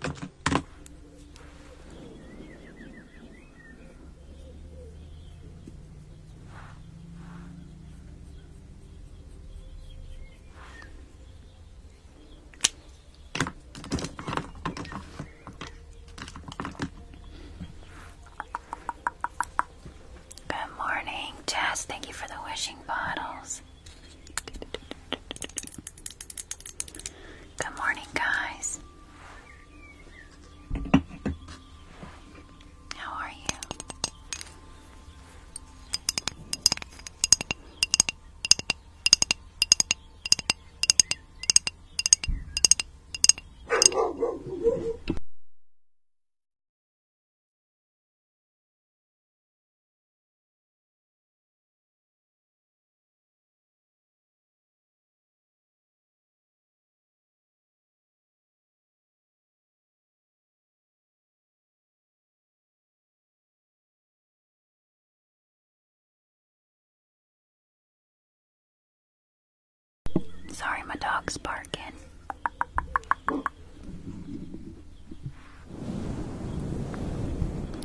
Good morning, Jess. Thank you for the wishing bottles. Good morning, guys. How are you? Sorry, my dog's barking.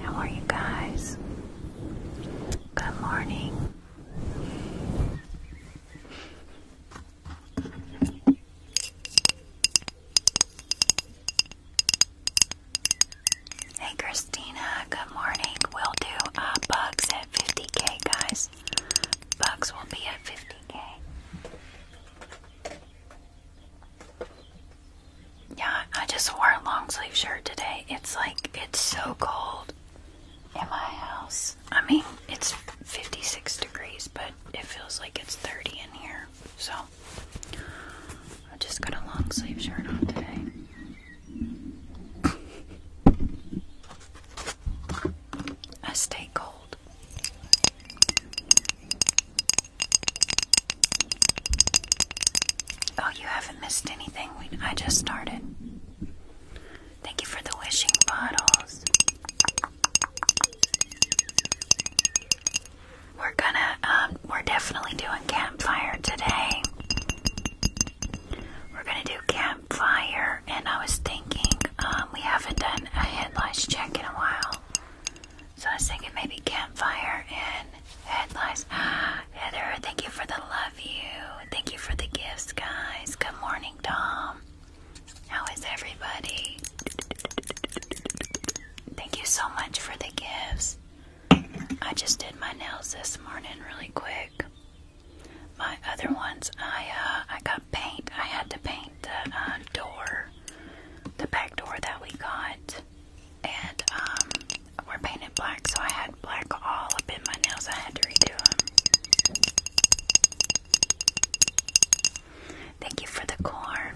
How are you guys? Good morning. Hey Christina, good morning. We'll do uh, bugs at 50k, guys. Bugs will be at 50k. Yeah, I just wore a long sleeve shirt today. It's like, it's so cold in my house. I mean, it's 56 degrees, but it feels like it's 30 in here. So, I just got a long sleeve shirt on today. I stay cold. Oh, you haven't missed anything. I just started. Thank you for the wishing bottles. We're gonna, um, we're definitely doing campfire today. We're gonna do campfire, and I was thinking, um, we haven't done a headlights check in a while. So I was thinking maybe campfire and headlights. Heather, thank you for the love you. Thank you for the gifts, guys. Good morning, Tom. How is everybody? Thank you so much for the gifts. I just did my nails this morning really quick. My other ones, I uh, I got paint. I had to paint the uh, door, the back door that we got and um, were painted black, so I had black all up in my nails. I had to redo them. Thank you for the core.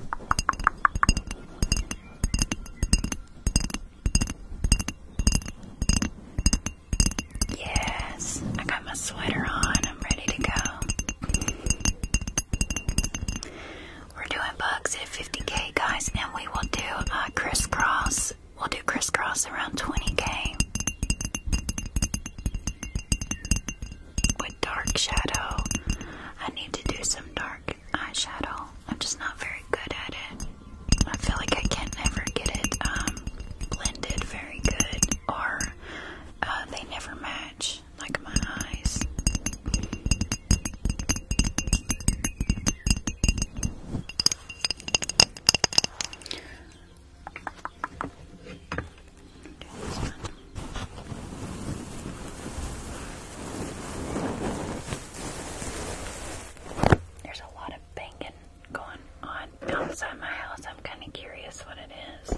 Yes, I got my sweater on. I'm ready to go. We're doing bugs at 50k, guys, and we will do uh, crisscross. We'll do crisscross around 20k with dark shadow. I need to do some dark eyeshadow. I'm just not very good at it. I feel like I can never get it um, blended very good, or uh, they never match, like my eyes. There's a lot of banging going on outside my house. I'm kind of curious what it is.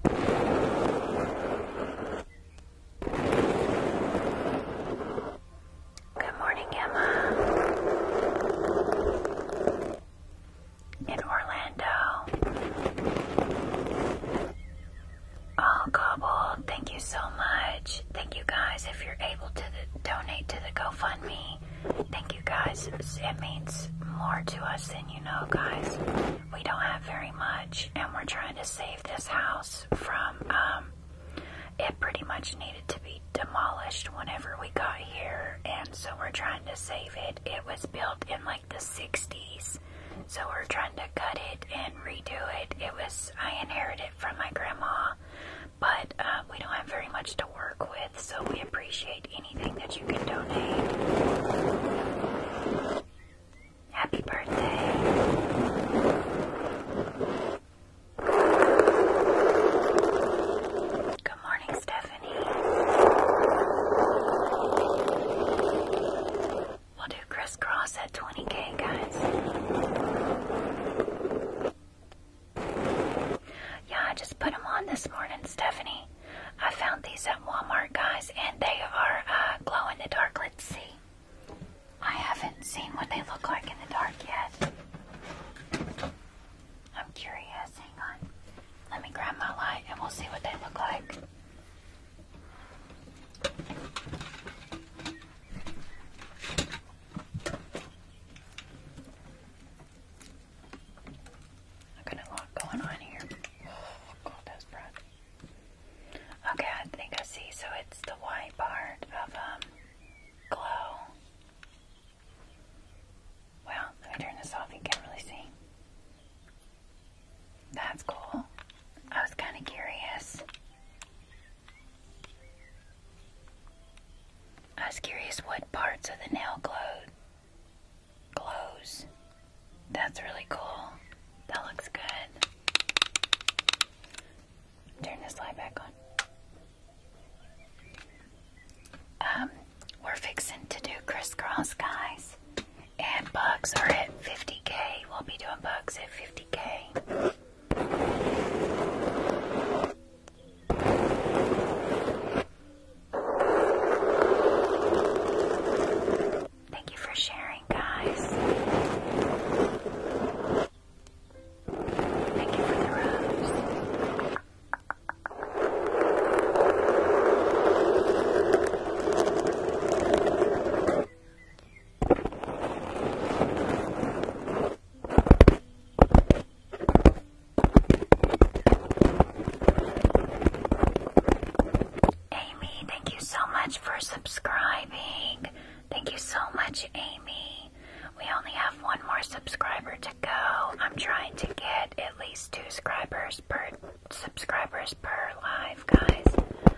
Good morning, Emma. In Orlando. Oh, Cobble, thank you so much. Thank you guys. If you're able to donate to the GoFundMe, thank you guys. It means more to us than you know, guys we don't have very much, and we're trying to save this house from um, it pretty much needed to be demolished whenever we got here, and so we're trying to save it. It was built in like the 60s, so we're trying to cut it and redo it. It was, I inherited it from my grandma, but uh, we don't have very much to work with, so we appreciate Happy birthday. Good morning, Stephanie. We'll do crisscross at 20k, guys. Yeah, just put them on this morning, Stephanie. I found these at Walmart, guys, and they are uh, glow in the dark. Let's see. I haven't seen what they look like in the dark yet. I'm curious. Hang on. Let me grab my light and we'll see what they look like. I got a lot going on here. Okay, I think I see. So it's the white part of um glow. Well, let me turn this off. You can't really see. That's cool. I was kind of curious. I was curious what parts of the nail glowed clothes. That's really cool. That looks good. Turn this light back on. Um, we're fixing to do crisscross, guys. And bugs are at 50k. We'll be doing bugs at 50k. Thank you for sharing, guys. Thank you for the rose. Amy, thank you so much for subscribing. Thank you so much, Amy. We only have one more subscriber to go. I'm trying to get at least two subscribers per subscribers per live, guys.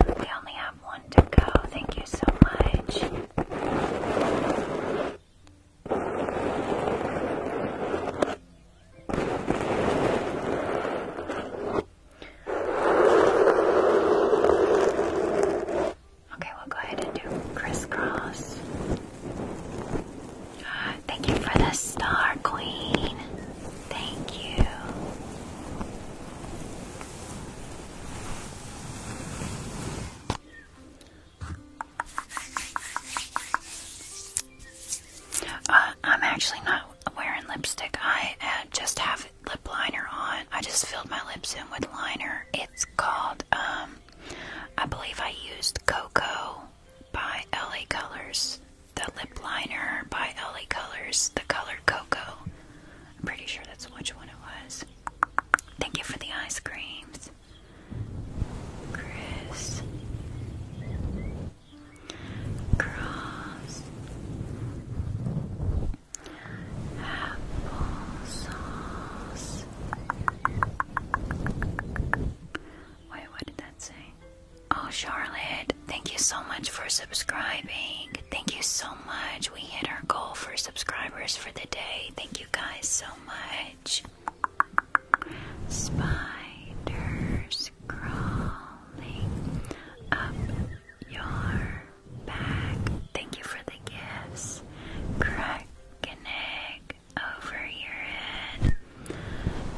We only have one to go. Thank you so much. Okay, we'll go ahead and do crisscross. Uh, thank you for the star, Queen. Thank you. Uh, I'm actually not wearing lipstick. I uh, just have lip liner on. I just filled my lips in with liner. It's called, um, I believe I used Coco by LA Colors. The lip liner by LA Colors. The color Coco. I'm pretty sure that's which one it was. Thank you for the ice creams. Chris grass, apple Wait, what did that say? Oh, Charlotte, thank you so much for subscribing. Thank you so much. We hit our goal for subscribers for the day. Thank you guys so much. Spiders crawling up your back. Thank you for the gifts. Crack an egg over your head.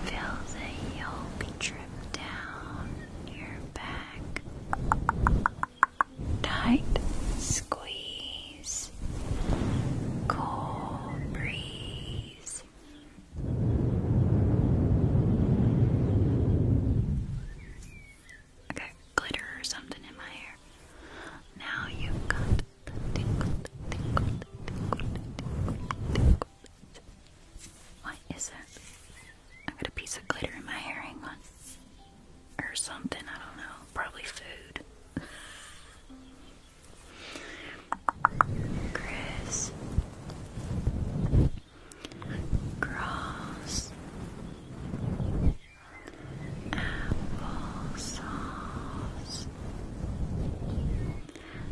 Feel the yolk drip down your back. Tight squeeze. Cool breeze. I got glitter or something in my hair. Now you've got What is it? I got a piece of glitter in my hair, Or something, I don't know. Probably food. Chris grass, applesauce,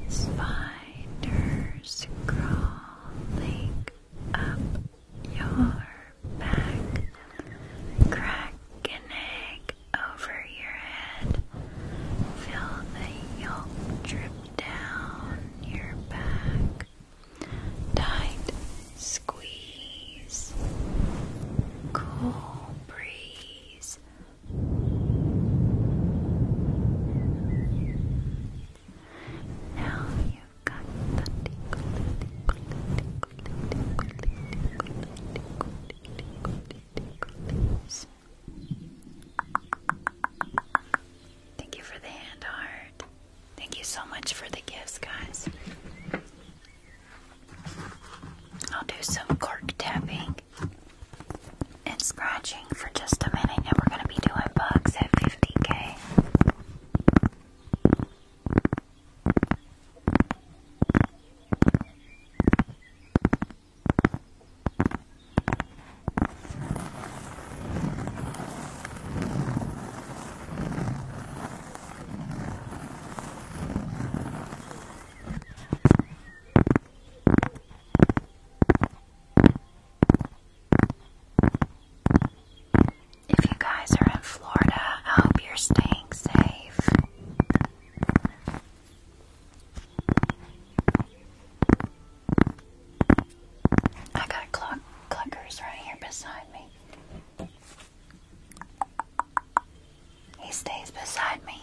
spiders crawling up your back, crack an egg over your head, fill the yolk drip down your back. Tight squeeze. Cool breeze. Now you got the Thank you for the hand heart. Thank you so much for the gifts, guys. I'll do some cork tapping and scratching for just a minute, and we're going to be doing bugs at 50k. If you guys are in Florida, I hope you're staying safe. I got clock cluckers right here beside me. He stays beside me.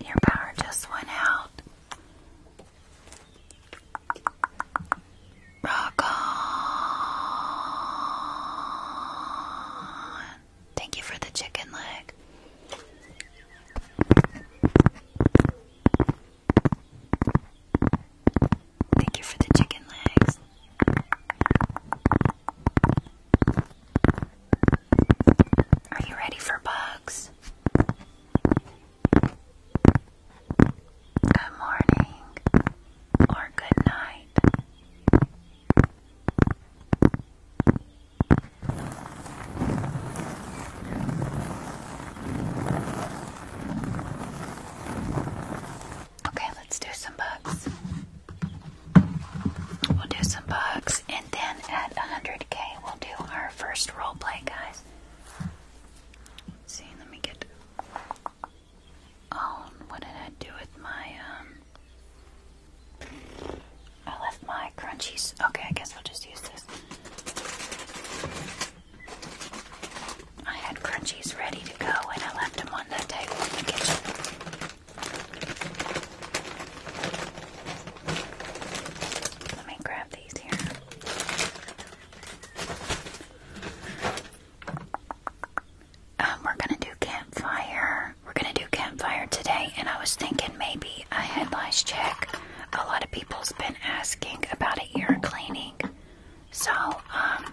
Your power just went out. Rock on. Thank you for the chicken leg. Thank you for the chicken legs. Are you ready for bugs? Good morning or good night. Okay, let's do some bugs. We'll do some bugs, and then at 100k, we'll do our first role play, guys. see, let me get. Oh, what did I do with my um? I left my crunchies. Okay, I guess I'll just use this. I had crunchies ready to go and I left them on that table in the kitchen. Let me grab these here. Um, we're gonna do campfire. We're gonna do campfire today, and I was thinking maybe a I had check. A lot of people's been asking about an ear cleaning. So, um,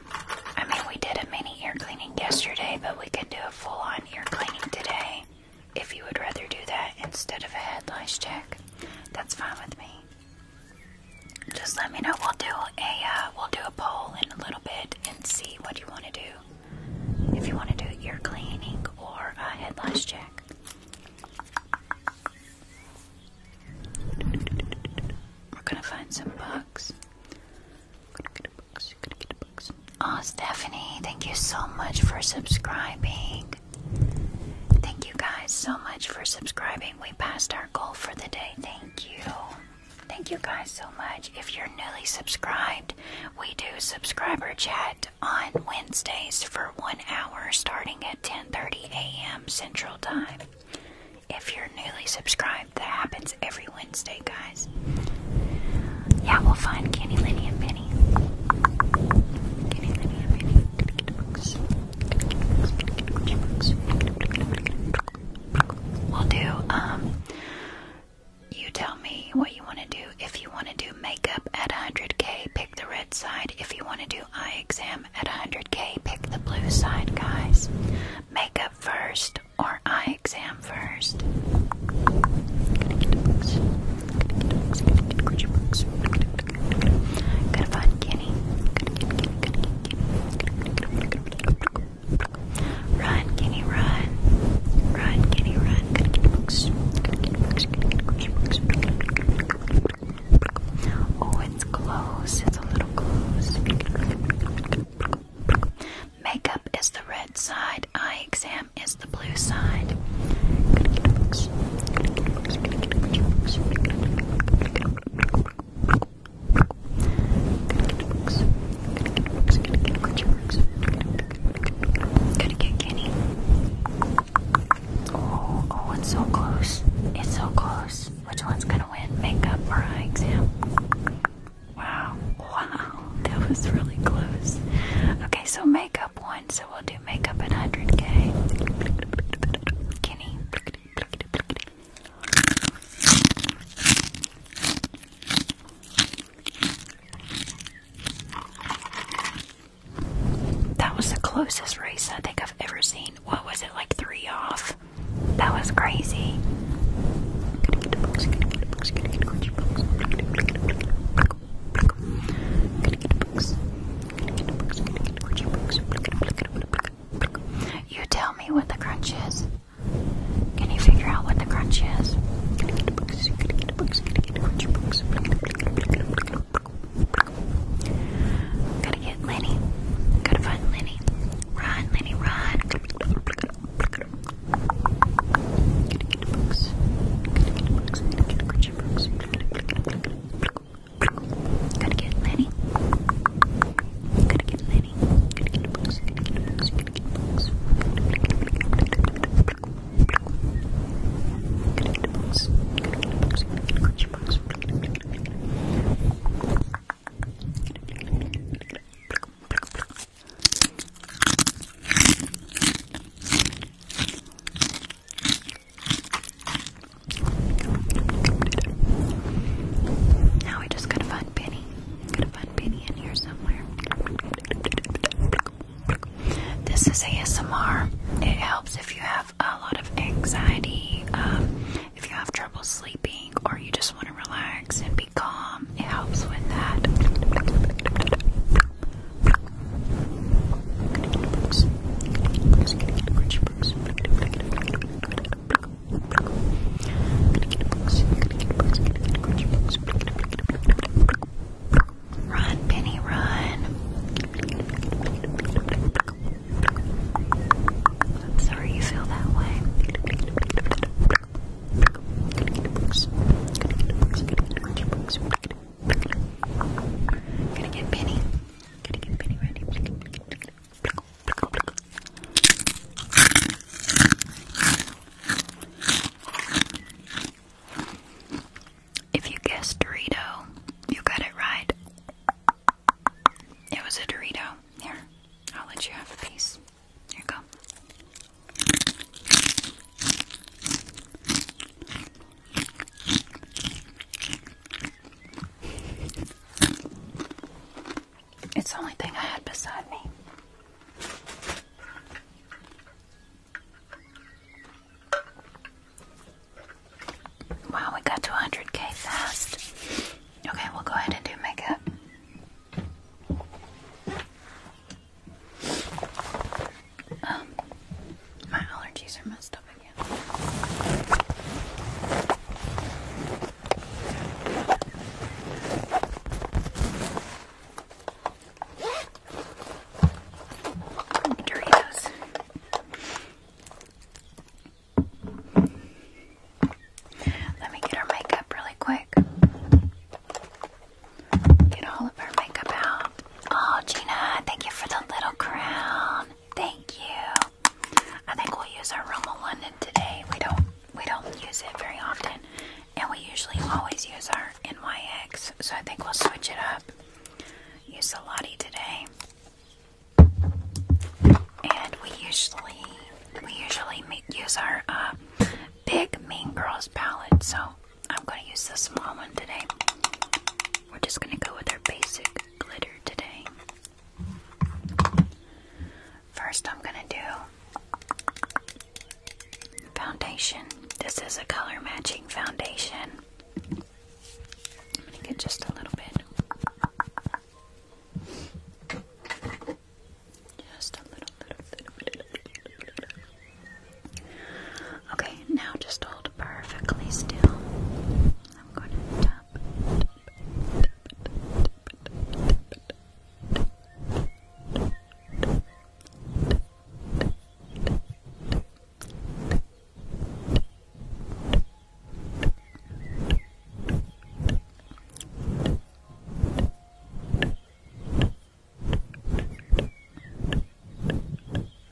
I mean, we did a mini ear cleaning yesterday, but we can do a full on ear cleaning today. If you would rather do that instead of a head lice check, that's fine with me. Just let me know. We'll do a uh, we'll do a poll in a little bit and see what you want to do. If you want to do ear cleaning or a head lice check. We're gonna find some bugs. going Oh, Stephanie, thank you so much for subscribing. Thank you guys so much for subscribing. We passed our goal for the day. Thank you. Thank you guys so much. If you're newly subscribed, we do subscriber chat on Wednesdays for one hour starting at 10.30 a.m. Central Time. If you're newly subscribed, that happens every Wednesday, guys. Yeah, we'll find Candy, Lenny, and Penny. Kenny, Lenny, and Penny. We'll do, um, you tell me what you want to do. If you want to do makeup at 100k, pick the red side. If you want to do eye exam at 100k, pick the blue side, guys. Makeup first or eye exam first. Gotta find Kenny. Run, Kenny, run. Run, Kenny, run. Oh, it's close. It's a little close. Makeup is the red side. Eye exam is the blue side. Gotta get Kenny. Oh, oh, it's so close. It's so close. Which one's gonna win? Makeup or eye exam? Wow. Wow. That was really close. Okay, so makeup one. So we'll do makeup at 100k. Kenny. That was the closest race I think I've ever seen. What was it, like three off? That was crazy. You tell me what the crunch is. Can you figure out what the crunch is? Gotta get Lenny. Gotta find Lenny. Run, Lenny, run. Gotta get the books. Gotta get the books. Gotta get the Christian books. Gotta get Lenny. Gotta get Lenny. Gotta get the books. Gotta get the books. Gotta get the books. Now we just gotta find Penny. Gotta find Penny in here somewhere. This is ASMR. It helps if you have a lot of anxiety, um, if you have trouble sleeping, or you just want to relax and be calm, it helps with that. Run, Penny, run. I'm sorry you feel that way. Gonna get Penny. Gonna get Penny ready. If you guessed Dorito, you got it right. It was a Dorito. Here, I'll let you have a piece. Here you go. It's the only thing I had beside me. Wow, we got to 100k fast. Okay, we'll go ahead and do makeup. Um, my allergies are messed up again. Doritos. Let me get our makeup really quick. Get all of our makeup out. Oh, Gina, thank you for the little crown. Thank you. I think we'll use our Roma London today. We don't we don't use it very often, and we usually always use our NYX. So I think we'll switch it up. Use the Lottie today. And we usually we usually use our uh, big Mean Girls palette, so I'm going to use the small one today. We're just going to go with our basic glitter today. First, I'm going to do foundation. This is a color matching foundation. I'm gonna get just a little bit. Just a little, little, little, little, little, Okay, now just hold perfectly still. I'm going to tap,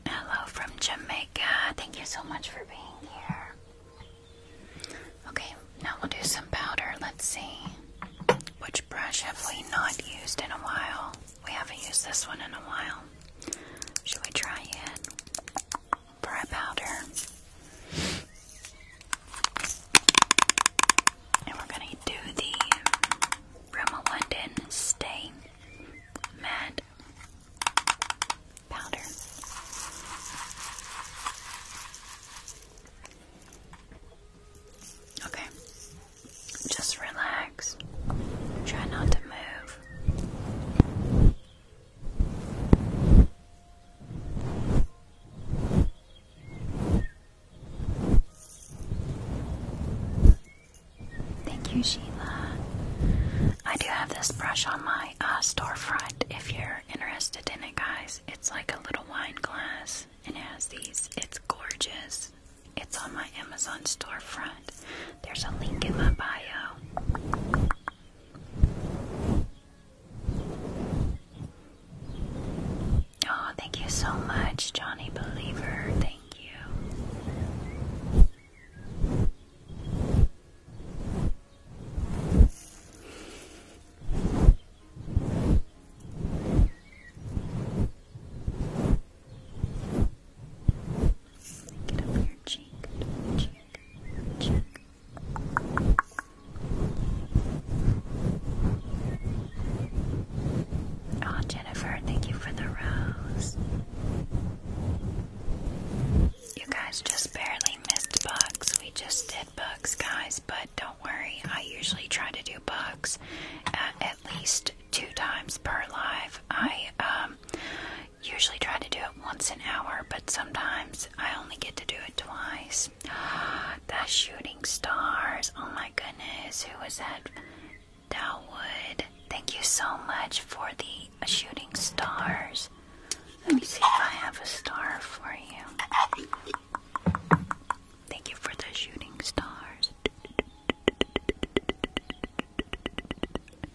Hello from Jamaica. Thank you so much for being here. Okay, now we'll do some powder. Let's see. Which brush have we not used in a while? We haven't used this one in a while. Should we try it for powder? And we're gonna do the Rimmel London Stay Matte Powder. Okay, just relax. Try not to move. Thank you, Sheila. I do have this brush on my uh, storefront if you're interested in it, guys. It's like a little wine glass and has these. It's gorgeous. It's on my Amazon storefront. There's a link in my bio. Oh, thank you so much, Johnny Believer. Thank you. Oh, Jennifer, thank you for the rose. You guys just barely missed bugs. We just did bugs, guys, but don't worry. I usually try to do bugs uh, at least two times per live. I um, Usually try to do it once an hour, but sometimes I only get to do it twice. The shooting stars. Oh my goodness, who was that? Dowwood. Thank you so much for the shooting stars. Let me see if I have a star for you. Thank you for the shooting stars.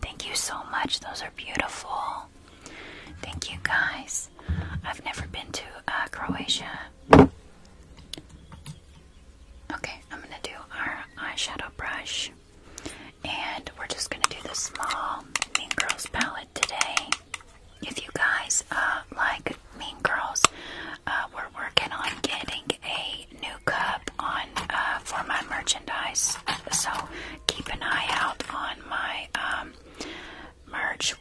Thank you so much. Those are beautiful. Thank you guys. I've never been to uh, Croatia. Okay, I'm gonna do our eyeshadow brush. And we're just gonna do the small Mean Girls palette today. If you guys uh, like Mean Girls, uh, we're working on getting a new cup on uh, for my merchandise, so keep an eye out on my um, merch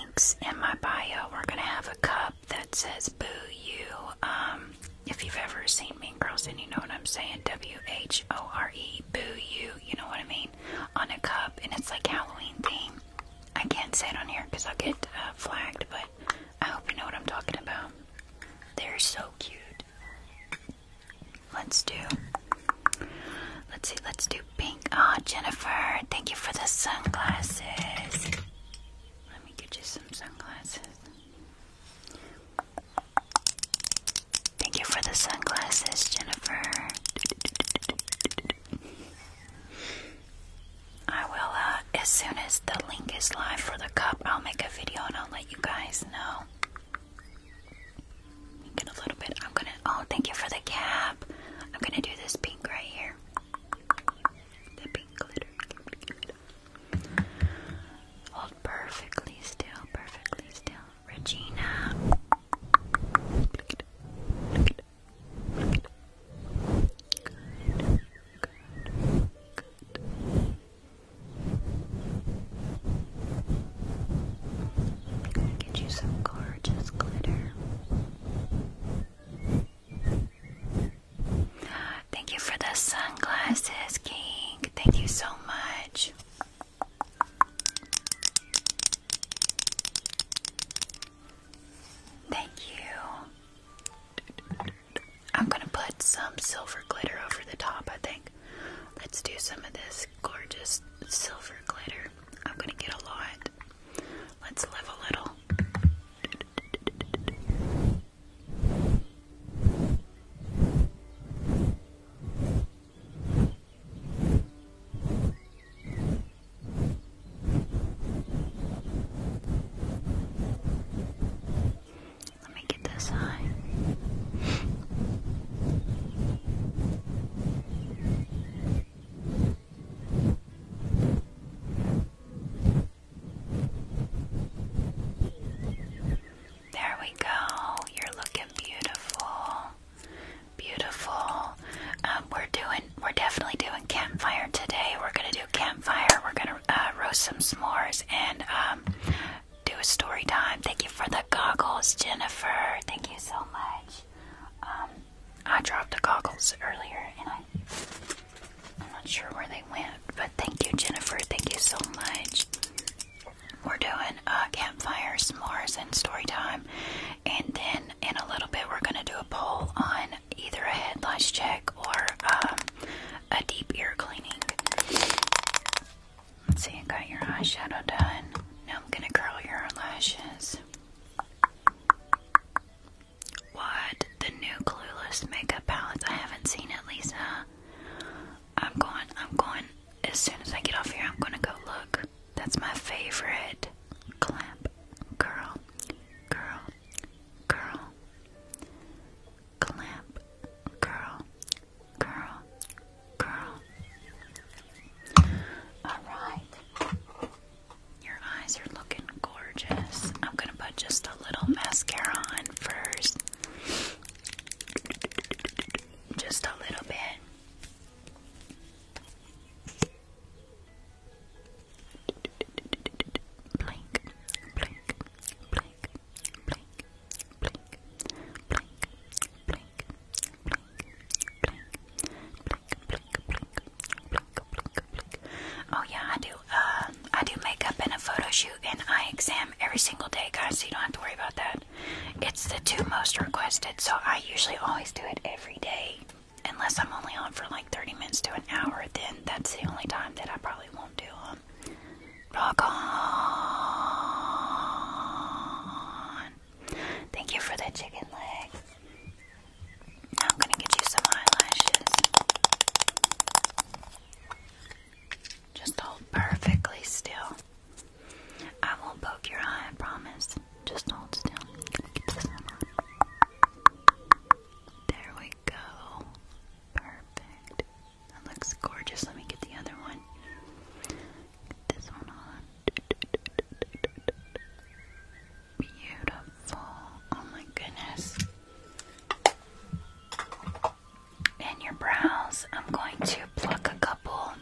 links in my bio. We're gonna have a cup that says "Boo You." Um, if you've ever seen Mean Girls, and you know what I'm saying, W H O R E, "Boo You." You know what I mean? On a cup, and it's like Halloween theme. I can't say it on here because I'll get uh, flagged, but I hope you know what I'm talking about. They're so cute. Let's do. Let's see. Let's do pink. Ah, Jennifer, thank you for the sunglasses. Let me get you some sunglasses. Thank you for the sunglasses, Jennifer. I will, uh, as soon as the link is live for the cup, I'll make a video and I'll let you guys know. Get a little bit. I'm gonna. Oh, thank you for the cap. I'm gonna do this pink right here. The pink glitter. Hold perfectly still. Perfectly still. Regina. Get you some gorgeous glitter. Thank you for the sunglasses, King. Thank you so much. Thank you. I'm gonna put some silver glitter over the top, I think. Let's do some of this gorgeous silver glitter. I'm gonna get a lot. Let's live a little. Let me get this high. There we go. You're looking beautiful. Beautiful. Um, we're doing, we're definitely doing campfire today. We're gonna do campfire. We're gonna uh, roast some s'mores and um, do a story time. Thank you for the goggles, Jennifer. Thank you so much. Um, I dropped the goggles earlier, and I I'm not sure where they went, but thank you, Jennifer. Thank you so much. We're doing uh, campfire, s'mores, and story time, and then in a little bit we're gonna do a poll on either a headlights check or um, a deep ear cleaning. Let's see, you got your eyeshadow done. Now I'm gonna curl your eyelashes. What? The new Clueless makeup palettes? I haven't seen it, Lisa. I'm going, I'm going. As soon as I get off here, I'm gonna go look. That's my favorite. Clamp, curl, curl, curl. Clamp, curl, Girl, girl. Alright. Your eyes are looking gorgeous. I'm going to put just a little mascara on first. Just a little bit. Blink, blink, blink, Oh yeah, I do. Uh, I do makeup and a photo shoot and eye exam every single day, guys. So you don't have to worry about that. It's the two most requested, so I usually always do it every day. Unless I'm only on for like 30 minutes to an hour, then that's the only time that I probably won't do them. Rock on. Thank you for the chicken legs. I'm gonna get you some eyelashes. Just hold perfectly still. I won't poke your eye, promise. Just hold still. There we go. Perfect. That looks gorgeous. Let me get the other one. Get this one on. Beautiful. Oh my goodness. And your brows, I'm going to pluck a couple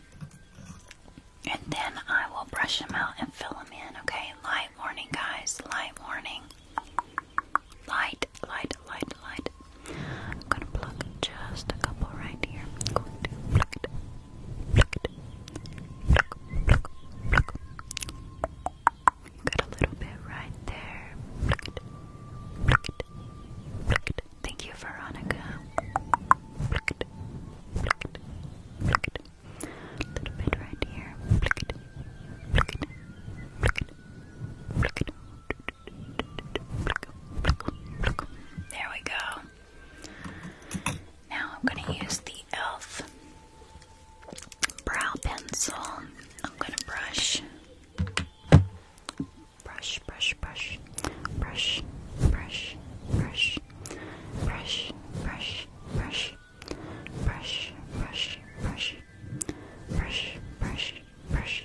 and then I will brush them out and fill them in, okay? Light warning, guys. Light warning. Light, light, light, light, I'm gonna pluck just a couple right here. Got a little bit right there. Thank you, Veronica. little bit right here. There we go. Now I'm going to use the e.l.f. brow pencil. I'm going to brush. Brush, brush, brush. Brush, brush, brush. Brush, brush, brush. Brush, brush, brush. Brush, brush, brush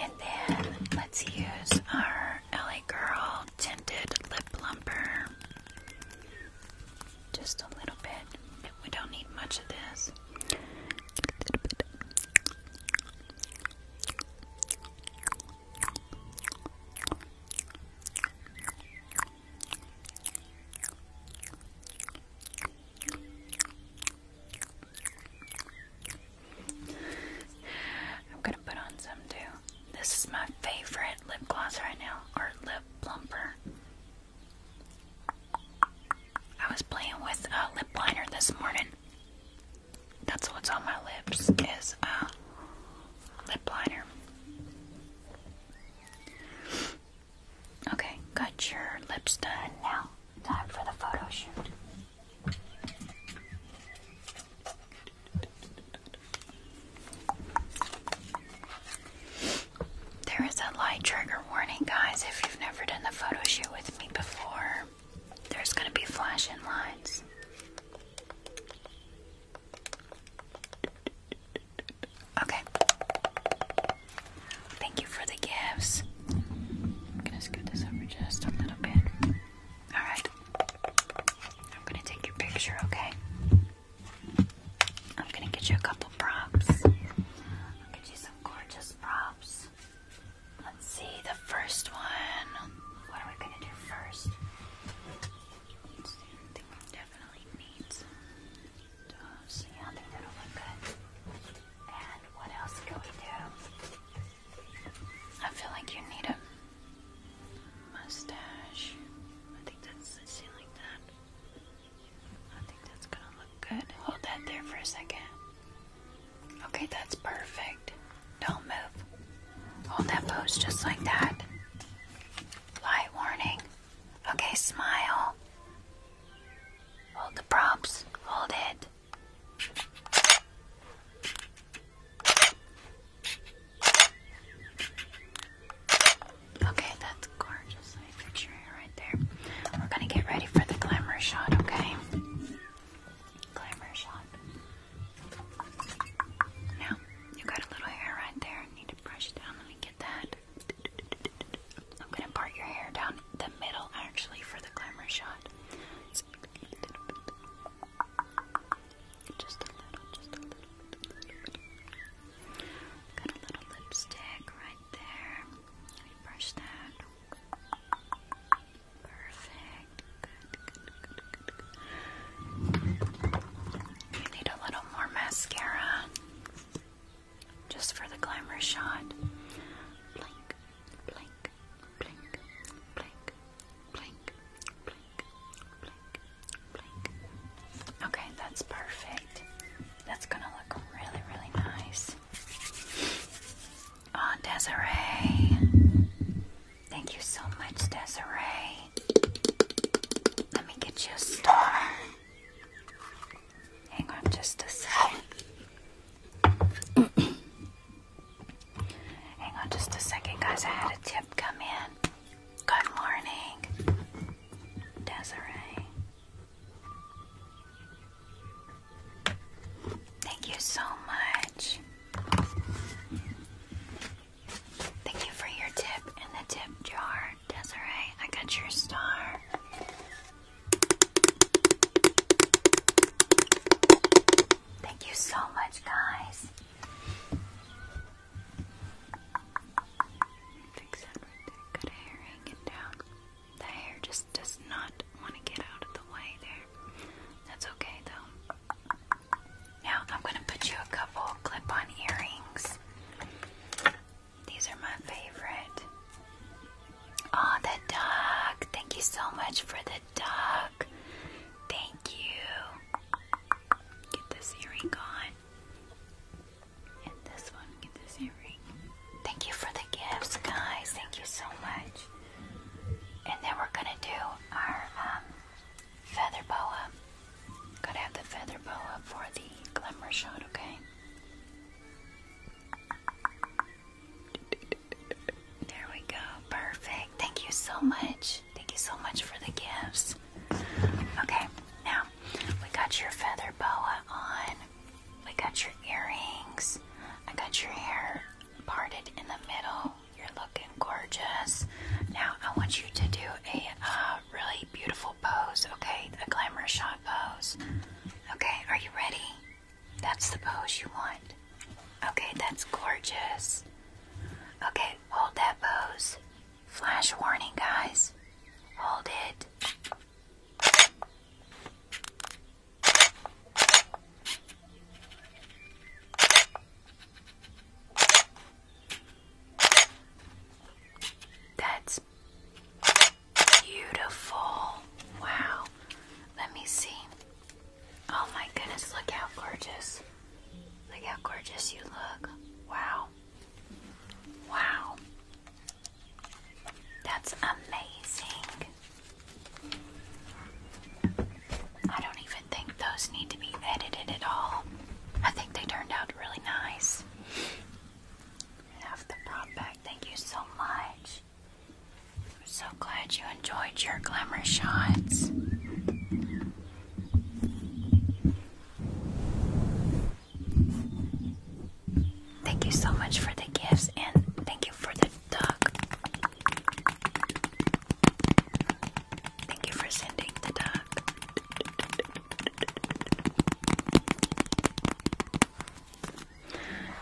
and then let's use our LA Girl tinted lip plumper. Just a little bit. We don't need much of this. I'm gonna put on some too. This is my favorite lip gloss right now, or lip plumper. I was playing with a lip liner this morning. That's what's on my lips is a lip liner. Okay, got your lips done now. Time for the photo shoot. There is a light trigger warning, guys, if you've never done the photo shoot with me before. There's going to be flashing lights. Okay. Thank you for the gifts. I'm gonna scoot this over just a little bit. Alright. I'm gonna take your picture, okay? I'm gonna get you a couple props. I'll get you some gorgeous props. Let's see the first one. What are we gonna do first? definitely needs. So yeah, I think that'll look good. And what else can we do? I feel like you need a mustache. I think that's see like that. I think that's gonna look good. Hold that there for a second. Okay, that's perfect. Don't move. Hold that pose just like that. Light warning. Okay, smile. Hold the props. Hold it. Okay, that's gorgeous. I right there. We're gonna get ready for the glamour shot, okay? Glamour shot. Now, you got a little hair right there. need to brush down. Let me get that. I'm gonna part your hair down the middle actually for the glamour shot. Just a little, just a little bit, a little bit. a little lipstick right there. Let me brush that. Perfect. You need a little more mascara. Just for the glamour shot blink, blink, blink, blink, blink, blink, blink. Okay, that's perfect. That's gonna look really, really nice. Oh, Desiree. Thank you so much, Desiree. Let me get you a star. Hang on just a second. Hang on just a second, guys. I had a tip come in. Good morning, Desiree. Thank you so much. Thank you for your tip in the tip jar, Desiree. I got your star. Thank you so much, guys. Fix that right there. Got hair hanging down. The hair just does not want to get out of the way there. That's okay, though. Now, I'm going to put you a couple clip on earrings. These are my favorite. Oh, the dog. Thank you so much for the duck. Thank you. Get this earring on. And this one, get this earring. Thank you for the gifts, guys. Thank you so much. And then we're gonna do our um, feather boa. Gotta have the feather boa for the glimmer shot, okay? There we go. Perfect. Thank you so much. Thank you so much for the gifts. Okay, now we got your feather boa on. We got your earrings. I got your hair parted in the middle. You're looking gorgeous. Now I want you to do a uh, really beautiful pose, okay? A glamour shot pose. Okay, are you ready? That's the pose you want. Okay, that's gorgeous. Okay, hold that pose. Flash warning, guys. Hold it. That's beautiful. Wow. Let me see. Oh my goodness, look how gorgeous. Look how gorgeous you look. Wow. Wow. That's amazing. I don't even think those need to be edited at all. I think they turned out really nice. Have the prop back. Thank you so much. I'm so glad you enjoyed your glamour shots. Thank you so much for the gifts and thank you for the dog. Thank you for sending the duck.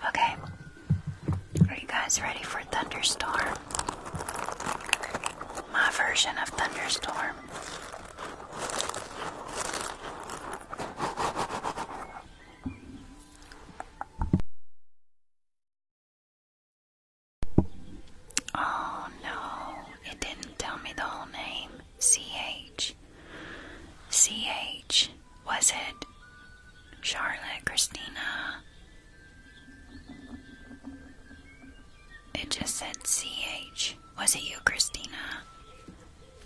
Okay, are you guys ready for Thunderstorm? My version of Thunderstorm. Oh no, it didn't tell me the whole name. CH. CH. Was it Charlotte, Christina, it just said CH. Was it you, Christina?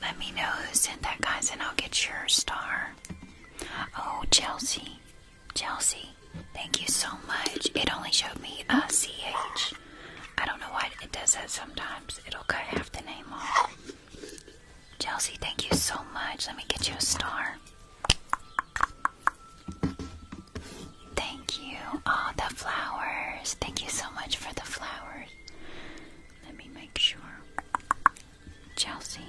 Let me know who sent that, guys, and I'll get your star. Oh, Chelsea. Chelsea, thank you so much. It only showed me a uh, CH. I don't know why it does that sometimes. It'll cut half the name off. Chelsea, thank you so much. Let me get you a star. Thank you. all ah, the flowers. Thank you so much for the flowers. Let me make sure. Chelsea.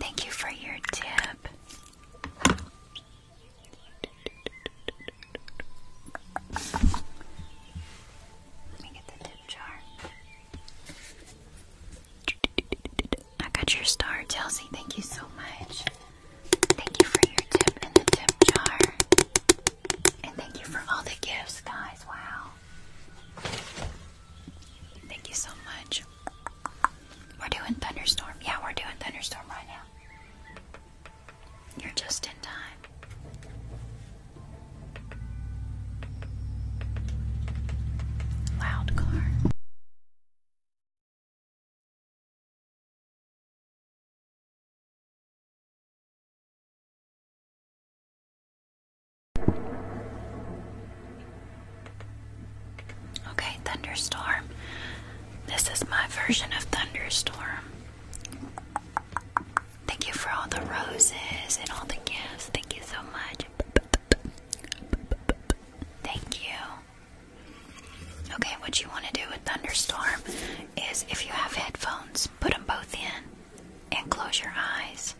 Thank you for your tip. Let me get the tip jar. I got your star, Chelsea. Thank you so much. Thank you for your tip in the tip jar. And thank you for all the gifts, guys. Wow. Thank you so much. We're doing thunderstorm. Yeah, we're doing thunderstorm right now. You're just in time. Loud car. Okay, thunderstorm. This is my version of thunderstorm. Thank you for all the roses and all the gifts. Thank you so much. Thank you. Okay, what you want to do with Thunderstorm is if you have headphones, put them both in and close your eyes.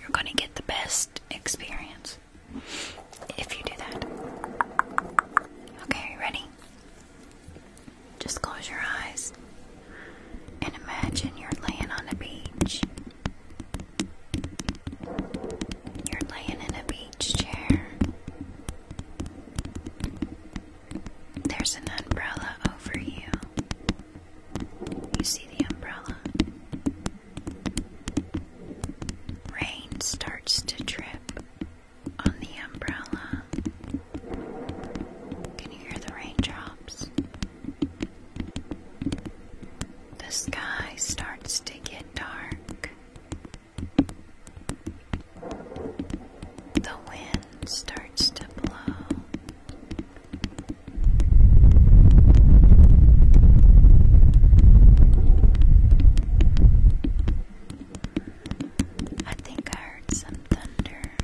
You're going to get the best experience if you do that. Okay, ready? Just close your eyes. And imagine you're laying on a beach. You're laying in a beach chair. There's an umbrella over you. You see the umbrella. Rain starts to drip on the umbrella. Can you hear the raindrops? The sky starts to get dark. The wind starts to blow. I think I heard some thunder.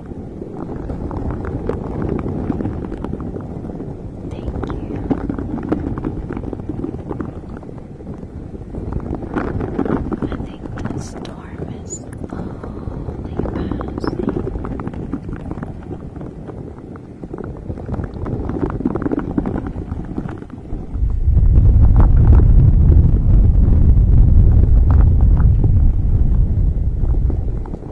Thank you. I think the storm is slowly passing.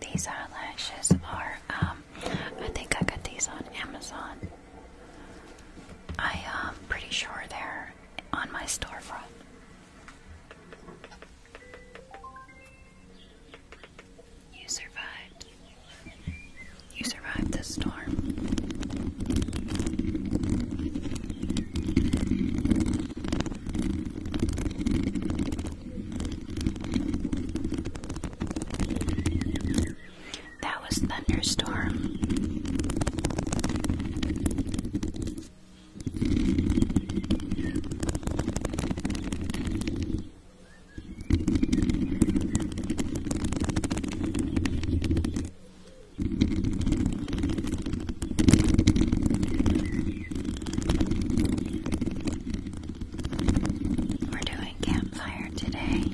These eyelashes are, um, I think I got these on Amazon. I am um, pretty sure they're on my storefront. You survived. You survived the storm. That was thunderstorm. We're doing campfire today.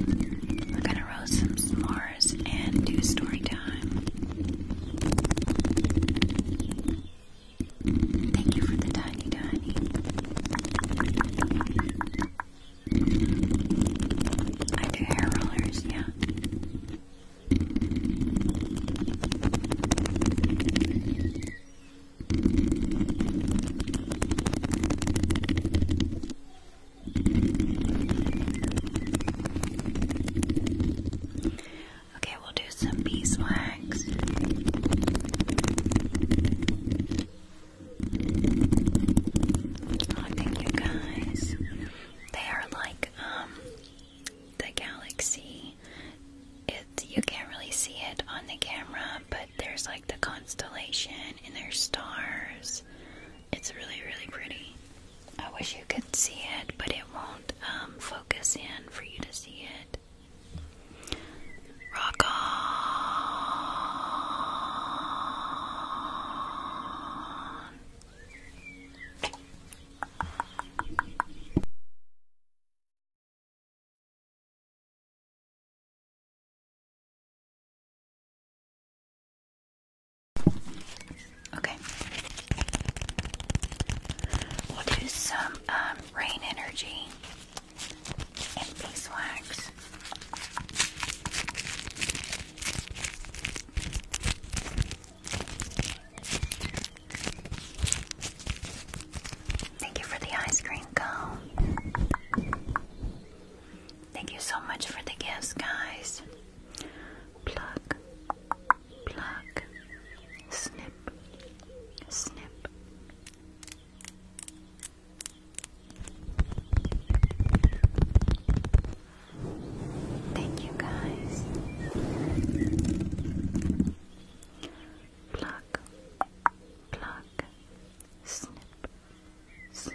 We're going to roast some s'mores and do story time. Thank you for the tiny, tiny. I do hair rollers, yeah. Okay, we'll do some beeswax. Oh, thank you guys. They are like um, the galaxy. It you can't really see it on the camera, but there's like the constellation and there's stars. It's really really pretty. I wish you could see it, but it won't um, focus in for you to see it. Rock on. Okay. We'll do some um, um Rain Energy, and Beeswax. Thank you for the ice cream cone. Thank you so much for the gifts, guys. Plug pluck, snip, snip. Thank you guys. Pluck, pluck, snip, snip.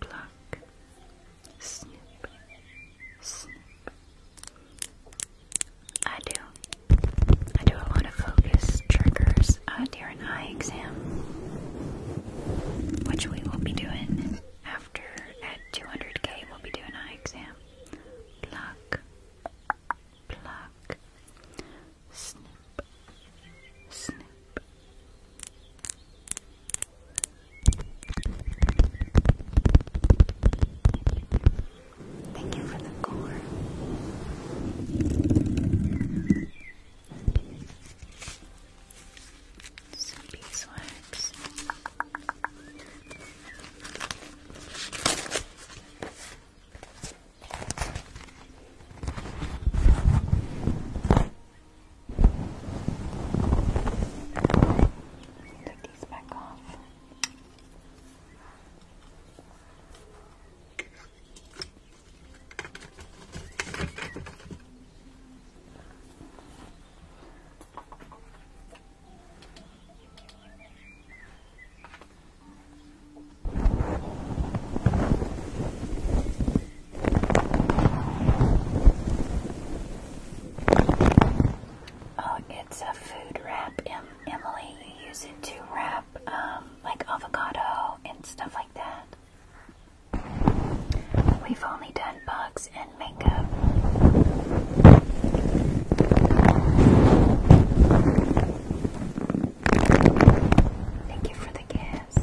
pluck, snip, snip. I do. I do a lot of focus triggers uh, during eye exam, which we will be doing after at 200k. We'll be doing eye exam. Pluck, pluck, snip, snip. Thank you for the core. Some beeswax. Take these back off. There Oh, it's a food wrap, Emily. You use it to wrap um, like avocado and stuff like that. We've only done bugs and makeup. Thank you for the kiss.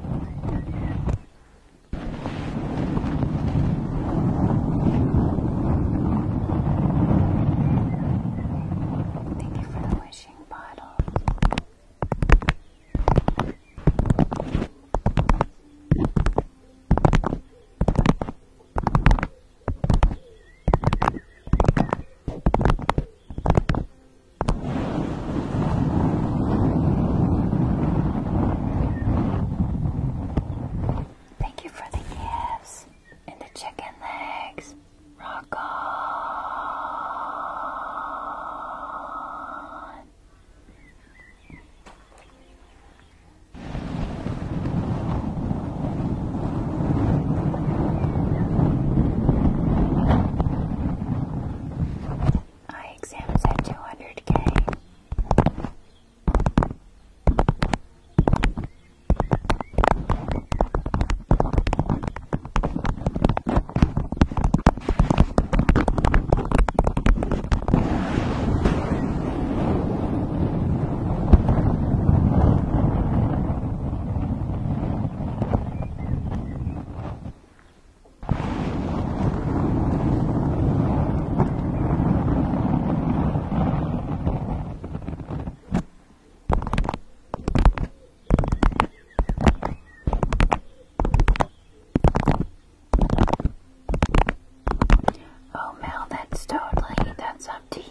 Thank you for the wishing bottle. Thank you for the gifts and the chicken legs. Rock on. I examine at 200k. Oh, Mel, that's totally, that's up to you.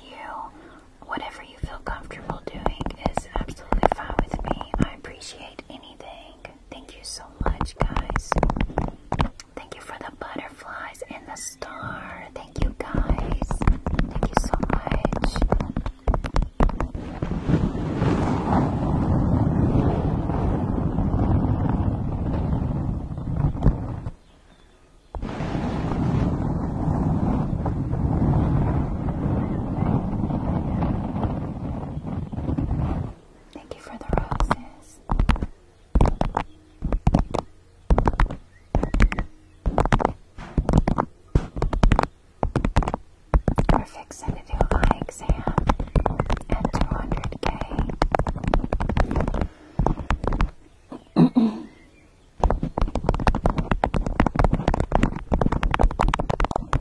Whatever you feel comfortable doing is absolutely fine with me. I appreciate anything. Thank you so much, guys. Thank you for the butterflies and the star. Thank you, guys. Thank you so much. Thank you for the roses. We're eye exam at 200k.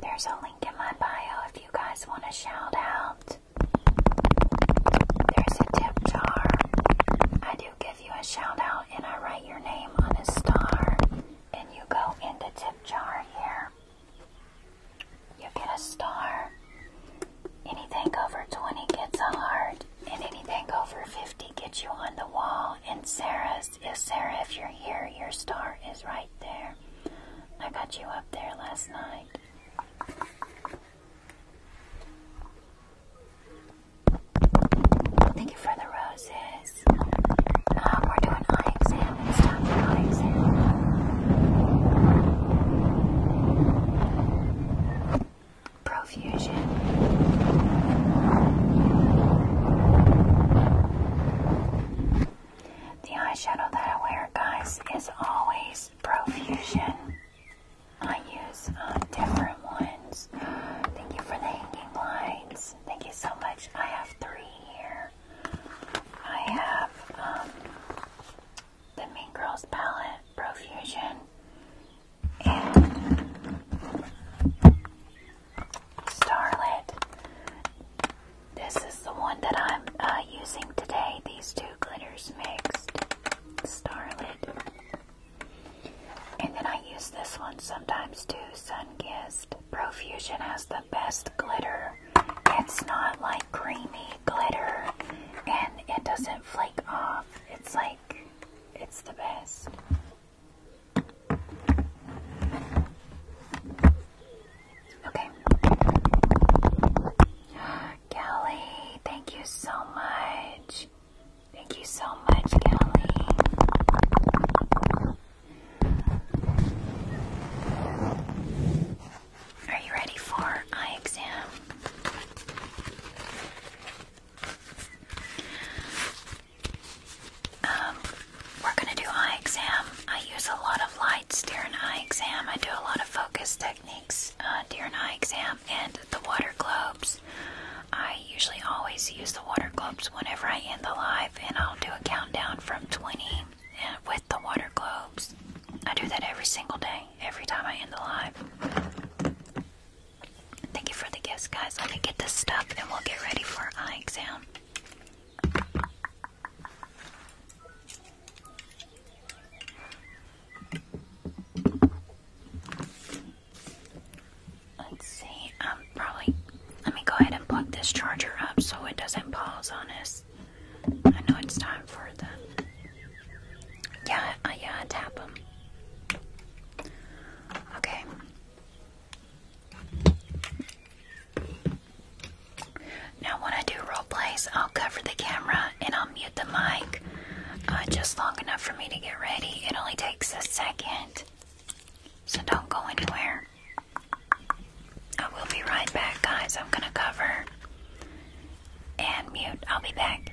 There's a link in my bio if you guys want to shout There's a tip jar. I do give you a shout out and I write your name on a star and you go in the tip jar here. You get a star. Anything over 20 gets a heart, and anything over 50 gets you on the wall. And Sarah's is Sarah, if you're here, your star is right there. I got you up there last night. Thank you for the roses. Um, we're doing eye exam. It's time for eye exam profusion. The eyeshadow that I wear, guys, is always profusion. I use um, different ones. Thank you for the hanging lights. Thank you so much. I have three here. I have um, the Mean Girls palette, Profusion, and Starlit. This is the one that I'm uh, using today, these two glitters mixed, Starlit. And then I use this one sometimes too, Sunkissed. Profusion has the best glitter. It's not like creamy glitter and it doesn't flake off. It's like, it's the best. Okay. Kelly, thank you so much. Thank you so much, Kelly. Are you ready for eye exam? Um, we're going to do eye exam. I use a lot of lights during eye exam. I do a lot of focus techniques uh, during eye exam and the water globes. I usually always use the water globes whenever I end the live, and I'll do a countdown from 20 uh, with the water globes. I do that every single day, every time I end the live. Thank you for the gifts, guys. Let me get this stuff and we'll get ready for eye exam. Let's see. Um, probably. Let me go ahead and plug this charger up so it doesn't pause on us. I know it's time for the yeah, yeah, tap him. Okay. Now, when I do role plays, I'll cover the camera and I'll mute the mic uh, just long enough for me to get ready. It only takes a second, so don't go anywhere. I will be right back, guys. I'm gonna cover and mute. I'll be back.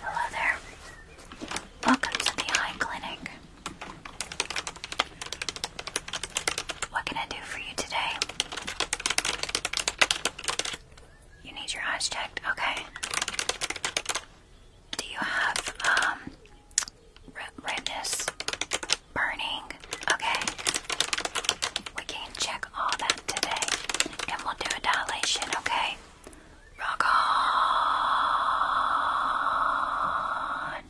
Hello there. Welcome to the eye clinic. What can I do for you today? You need your eyes checked? Okay. Do you have um redness burning? Okay. We can check all that today. And we'll do a dilation, okay? Rock on.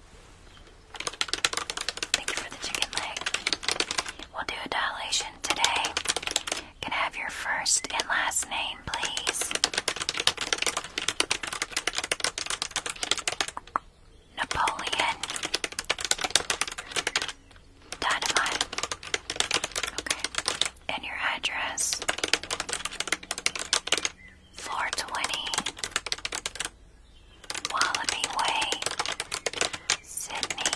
Thank you for the chicken leg. We'll do a dilation today. Can have your first and last name, please? Napoleon. Dynamite. Okay. And your address? 420 Wallaby Way, Sydney.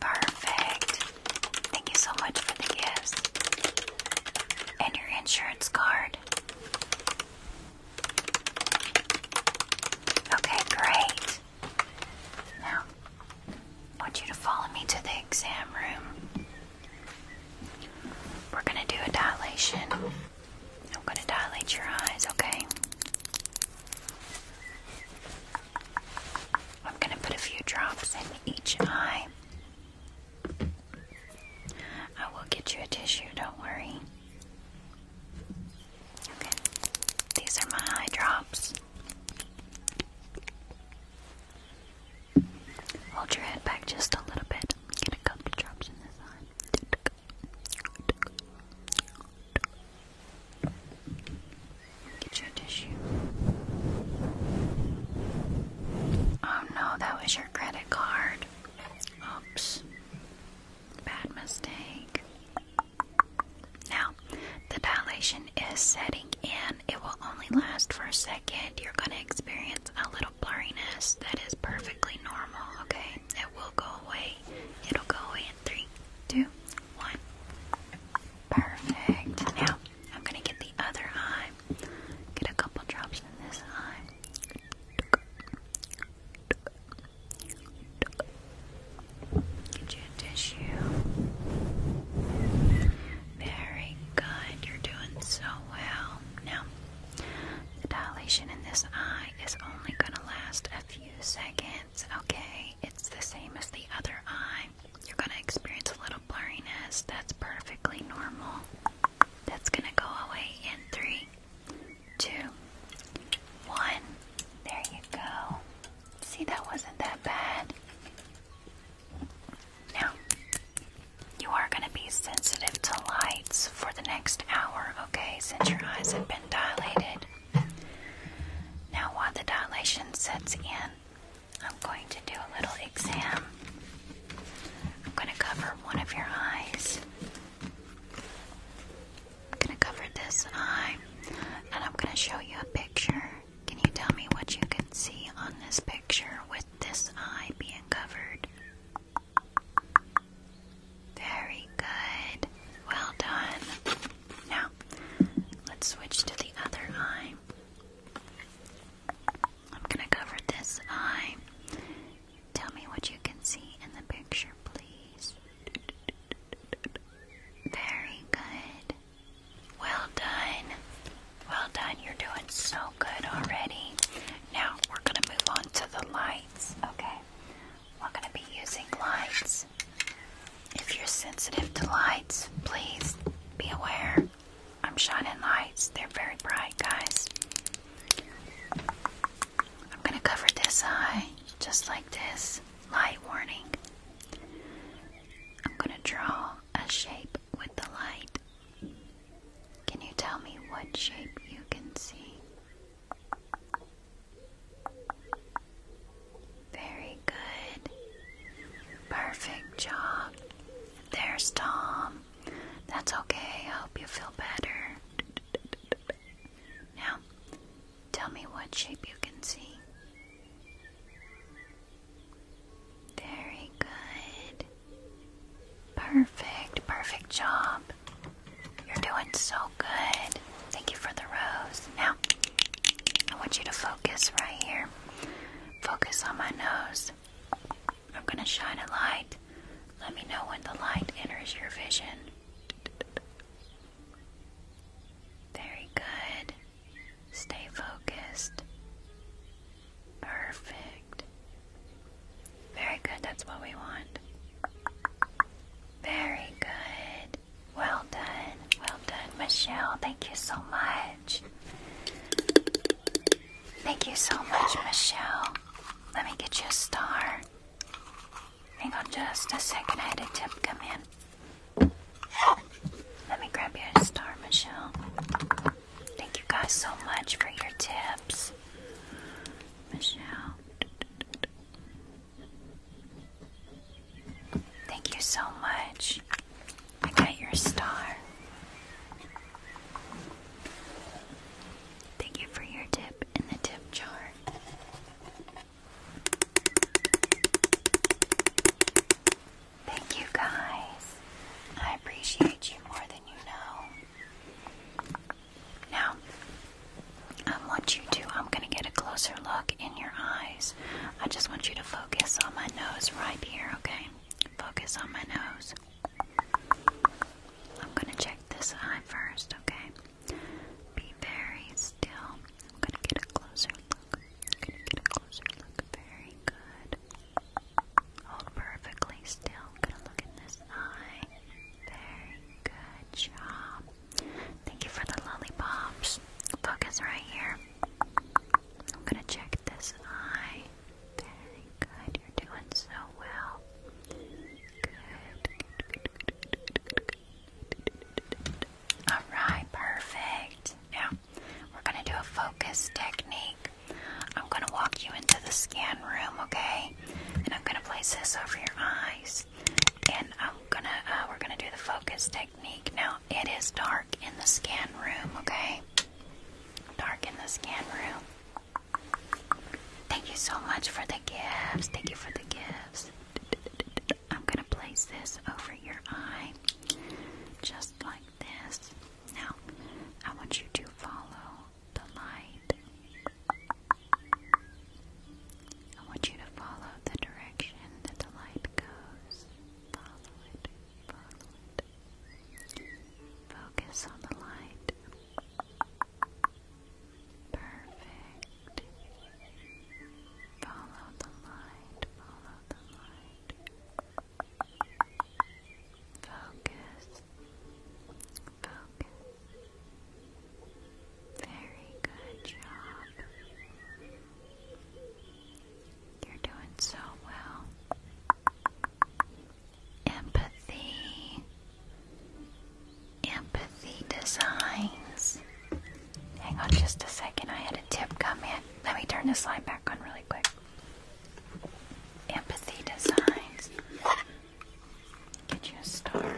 Perfect. Thank you so much for the gifts. And your insurance card. Okay, great. Now, I want you to follow me to the exam room. We're going to do a dilation. I'm going to dilate your eyes, okay? I'm going to put a few drops in each eye. I will get you a tissue, don't worry. Okay, these are my eye drops. Hold your head back just a little bit. Get a couple drops in this eye. Get your tissue. Oh no, that was your credit card. Oops. Bad mistake. Now, the dilation is setting in. It will only last for a second. You're going to experience a little blurriness that is perfectly normal, okay? It will go away. It'll go away in three, two, one. Perfect. Now I'm gonna get the other eye. Get a couple drops in this eye. Get you a tissue. Very good. You're doing so well. Now, the dilation in this eye is only going to last a few seconds, okay? It's the same as the other eye. You're gonna experience a little blurriness. That's perfectly normal. That's gonna go away in three, two, one. There you go. See, that wasn't that bad. Now, you are gonna be sensitive to lights for the next hour, okay? Since your eyes have been dilated. Now, while the dilation sets in, I'm going to do a little exam. I'm going to cover one of your eyes. I'm going to cover this eye and I'm going to show you a picture. Can you tell me what you can see on this picture with this eye being covered? Very good. Well done. Now, let's switch to the other eye. I'm going to cover this eye. Tell me what you can see in the picture, please. Very good. Well done. Well done. You're doing so good already. Now, we're going to move on to the lights, okay? We're going to be using lights. If you're sensitive to lights, please be aware. I'm shining lights, they're very bright, guys. I'm gonna cover this eye just like this. Light warning. I'm gonna draw a shape with the light. Can you tell me what shape you can see? Very good. Perfect job. There's Tom. That's okay. I hope you feel better. Now, tell me what shape you can see. Very good. Perfect, perfect job. You're doing so good. Thank you for the rose. Now, I want you to focus right here. Focus on my nose. I'm going to shine a light. Let me know when the light enters your vision. Very good. Stay focused. Perfect. Very good. That's what we want. Very good. Well done, well done, Michelle. Thank you so much. Thank you so much, Michelle. Let me get you a star. Hang on just a second, I had a tip come in. Let me grab you a star, Michelle. Thank you guys so much for your tips. Michelle. Thank you so much. I got your star. Thank you for your tip in the tip jar. Thank you guys. I appreciate you more than you know. Now, I want you to, I'm going to get a closer look your eyes. I just want you to focus on my nose right here, okay? Focus on my nose. I'm gonna check this eye first, okay? Be very still. I'm gonna get a closer look. I'm gonna get a closer look. Very good. Hold perfectly still. I'm gonna look in this eye. Very good job. Thank you for the lollipops. Focus right here. I'm gonna check this eye. Very good. You're doing so well. Good. Alright, perfect. Now we're gonna do a focus technique. I'm gonna walk you into the scan room, okay? And I'm gonna place this over your eyes. And I'm gonna uh, we're gonna do the focus technique. Now it is dark in the scan room, okay? Dark in the scan room. Thank you so much for the gifts. Thank you for the gifts. I'm gonna place this over your eye, just like this. Now, I want you to follow the light. I want you to follow the direction that the light goes. Follow it, follow it. Focus on the light. Perfect. Follow the light, follow the light. Focus, focus. Very good job. You're doing so well. Empathy. Empathy designs. Hang on just a second. I had a tip come in. Let me turn this slide back on really quick. Empathy designs. Get you a star.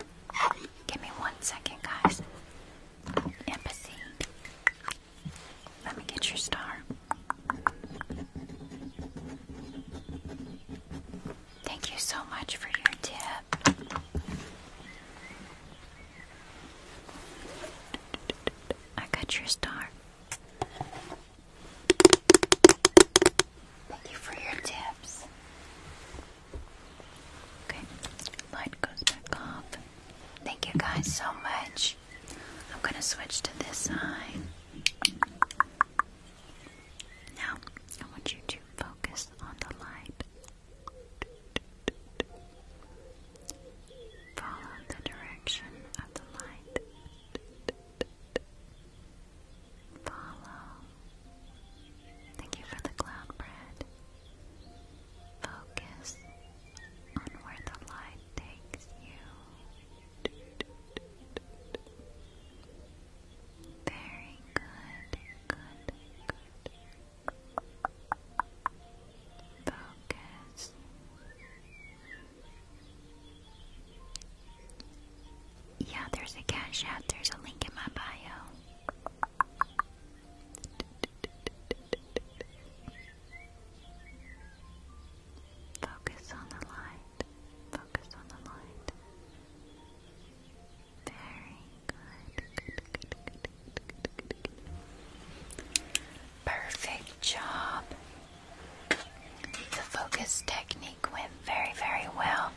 Give me one second, guys. Empathy. Let me get your star. Thank you so much for your tip. I got your star. Thank you for your tips. Okay, light goes back off. Thank you guys so much. I'm gonna switch to this side. Now, I want you to focus on the light. Follow the direction of the light. Follow. Thank you for the cloud bread. Focus on where the light takes you. Very good, good, good. Focus. Yeah, there's a cash app. There's a link in my bio. Focus on the light. Focus on the light. Very good. Good, good, good, good, good, good. Perfect job. The focus technique went very, very well.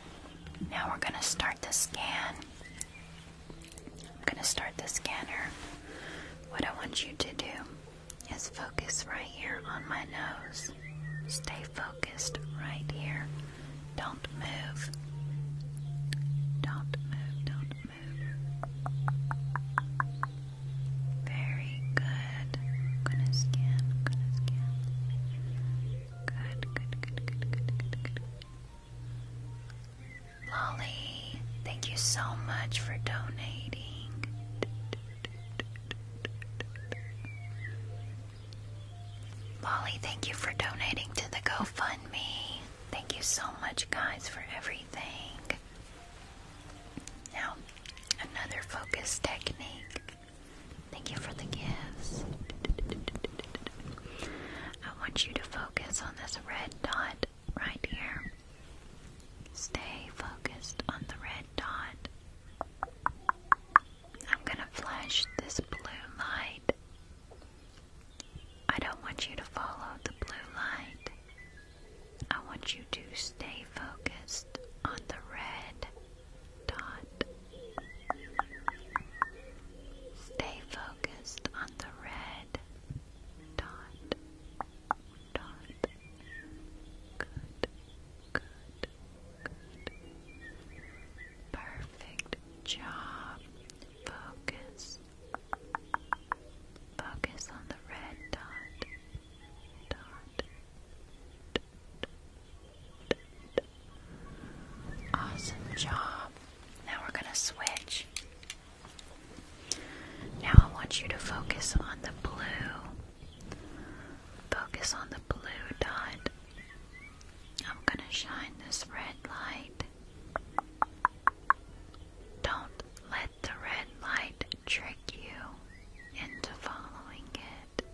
Now we're going to start the scan. I'm going to start the scanner. What I want you to do is focus right here on my nose. Stay focused right here. Don't move. Don't move, don't move. Very good. I'm gonna scan, I'm gonna scan. Good, good, good, good, good, good, Lolly, thank you so much for donating. Lolly, thank you for donating to the GoFundMe. Thank you so much, guys, for everything. Now, another focus technique. Thank you for the gifts. I want you to focus on this red dot right here. Stay focused on the red dot. I'm gonna flash this blue light. I don't want you to follow the blue light. I want you to stay focused on the red dot. Stay focused on the red dot dot. Good, good, good. Perfect job. Focus. Focus on the red dot. Dot. Awesome job. Now we're going to switch. Now I want you to focus on the blue. Focus on the blue dot. I'm going to shine this red light. Don't let the red light trick you into following it.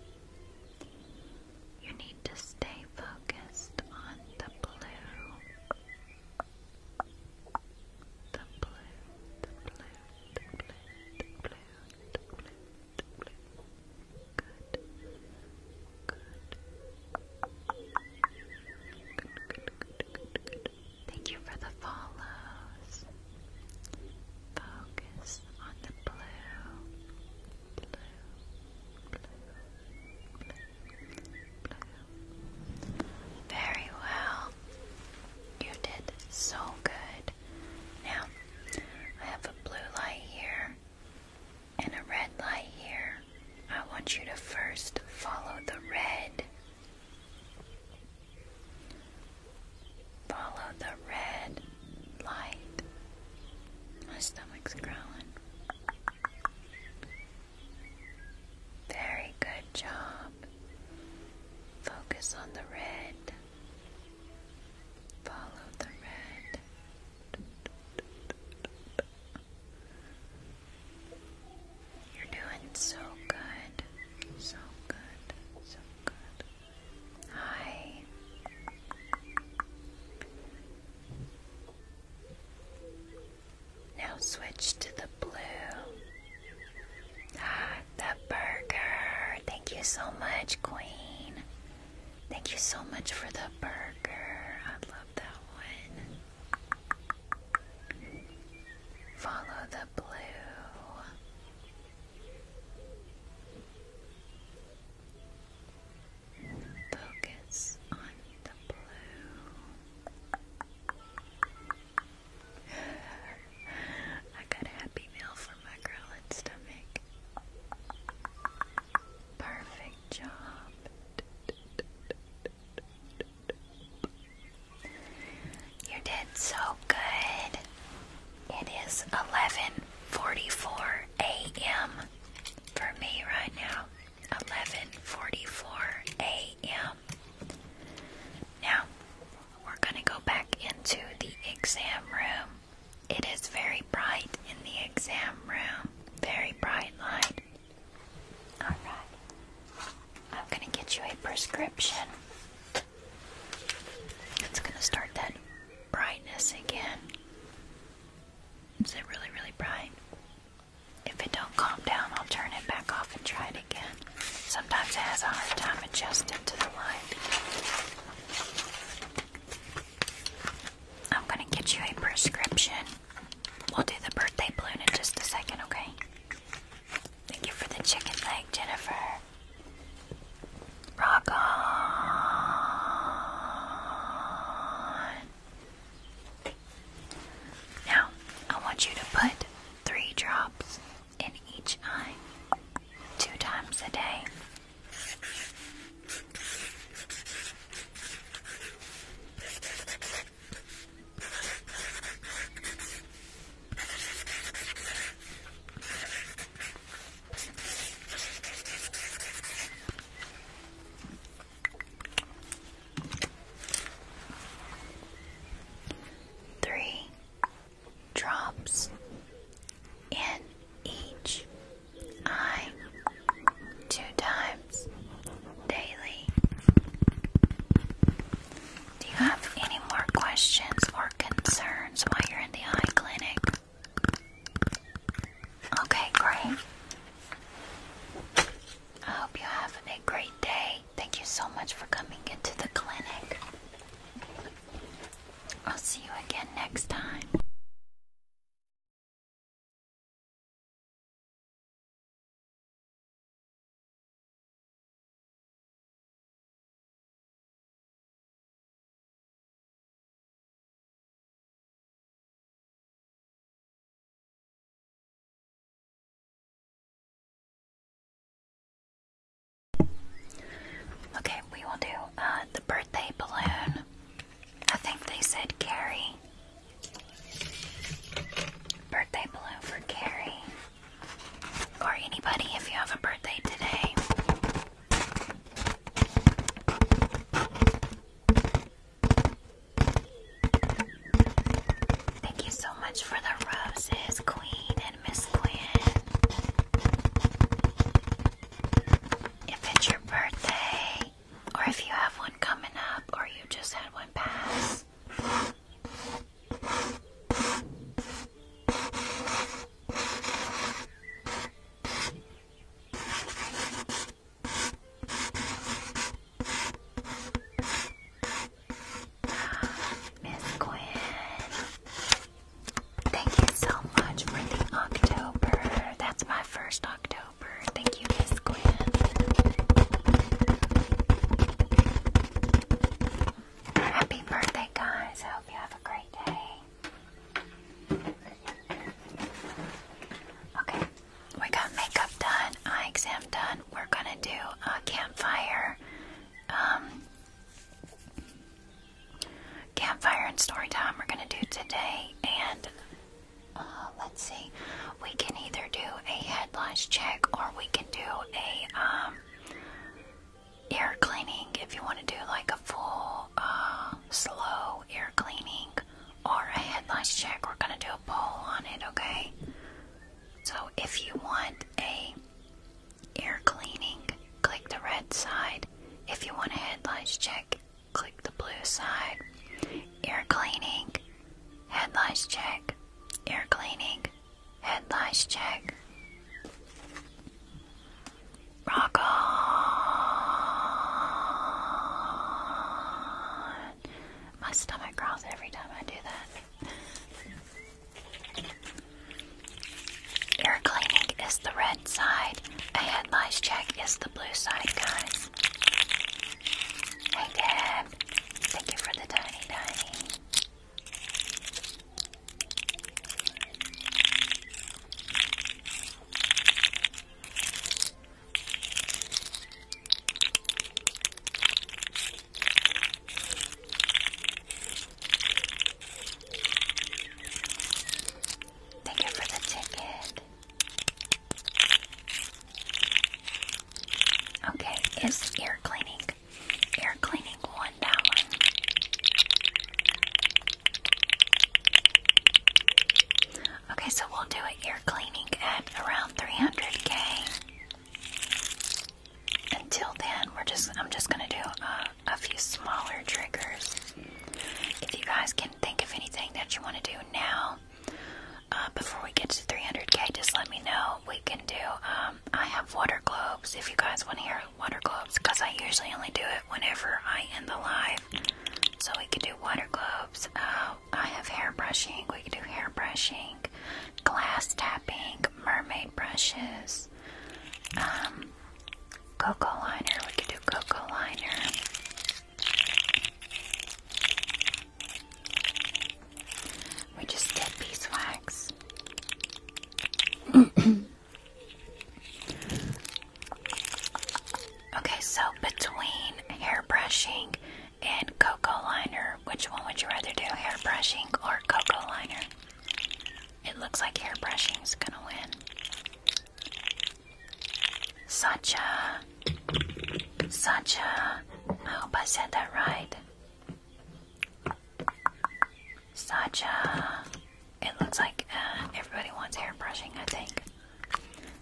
You need to stay focused on the blue the blue, the blue, the blue, the blue, the blue, the blue. Good. Good. Good, good, good, good, good. Thank you for the follows. Focus on the blue, blue, blue, blue, blue. Very well. You did so good. Now, I have a blue light here and a red light here. I want you to first follow the red. Follow the red light. My stomach's growling. Very good job. Focus on the red. Follow the red. You're doing so good. So good. So good. Hi. Now switch to the blue. Ah, the burger. Thank you so much, Queen. Thank you so much for the burger. I love that one. Follow the blue. Focus on the blue. I got a happy meal for my growling stomach. Perfect job. You did so good. It is 11:44 a.m. for me right now. 11:44 a.m. Now, we're going to go back into the exam room. It is very bright in the exam room, very bright light. Alright, I'm going to get you a prescription. It's going to start that brightness again. Is it really, really bright? If it don't calm down, I'll turn it back off and try it again. Sometimes it has a hard time adjusting to the light. I'm gonna get you a prescription. We'll do the birthday balloon in just a second, okay? Thank you for the chicken leg, Jennifer. Rock on. Now, I want you to put three drops in each eye two times a day. Three drops in each eye two times daily. Do you have any more questions or concerns while you're in the eye clinic? Okay, great. I hope you have a great day Thank you so much for coming into the clinic. I'll see you again next time. Okay, we will do uh, the birthday balloon. I think they said Carrie. Birthday balloon for Carrie. Or anybody if you have a birthday today. Thank you so much for the roses, Queen and Miss Quinn. If it's your birthday, or if you have one coming up, or you just had one pass. Miss Gwen, thank you so much for the October. That's my first October. Thank you, Miss Gwen. Happy birthday, guys. I hope you have a great day. Okay, we got makeup done, eye exam done. We're gonna do a campfire um, campfire and story time we're going to do today. And uh, let's see, we can either do a headlines check or we can do a um, air cleaning if you want to do like a full uh, slow air cleaning or a headlines check. We're going to do a poll on it, okay? So if you want a Air cleaning, click the red side. If you want a headlights check, click the blue side. Air cleaning, headlights check. Air cleaning, headlights check. Rock on! My stomach growls every time I do that. Air cleaning is the red side. A head lice check is the blue side, guys. Hey, Deb. Thank you for the tiny, tiny. Thank you for the ticket. Okay, is ear cleaning. Air cleaning one Okay, so we'll do an Air cleaning at around 300k until then, we're just I'm just gonna do a, few smaller triggers. If you guys can think of anything that you want to do now, uh, before we get to 300k, just let me know. We can do. Um, I have water globes. If you guys want to hear water globes, because I usually only do it whenever I end the live. So we can do water globes. Uh, I have hair brushing. We can do hair brushing glass tapping, mermaid brushes, um, cocoa liner. We could do cocoa liner. We just did beeswax. okay, so between hair brushing and cocoa liner, which one would you rather do, hair brushing or cocoa liner? It looks like hair is gonna win. Sacha, Sacha, I hope I said that right. Sacha, it looks like uh, everybody wants hair brushing, I think.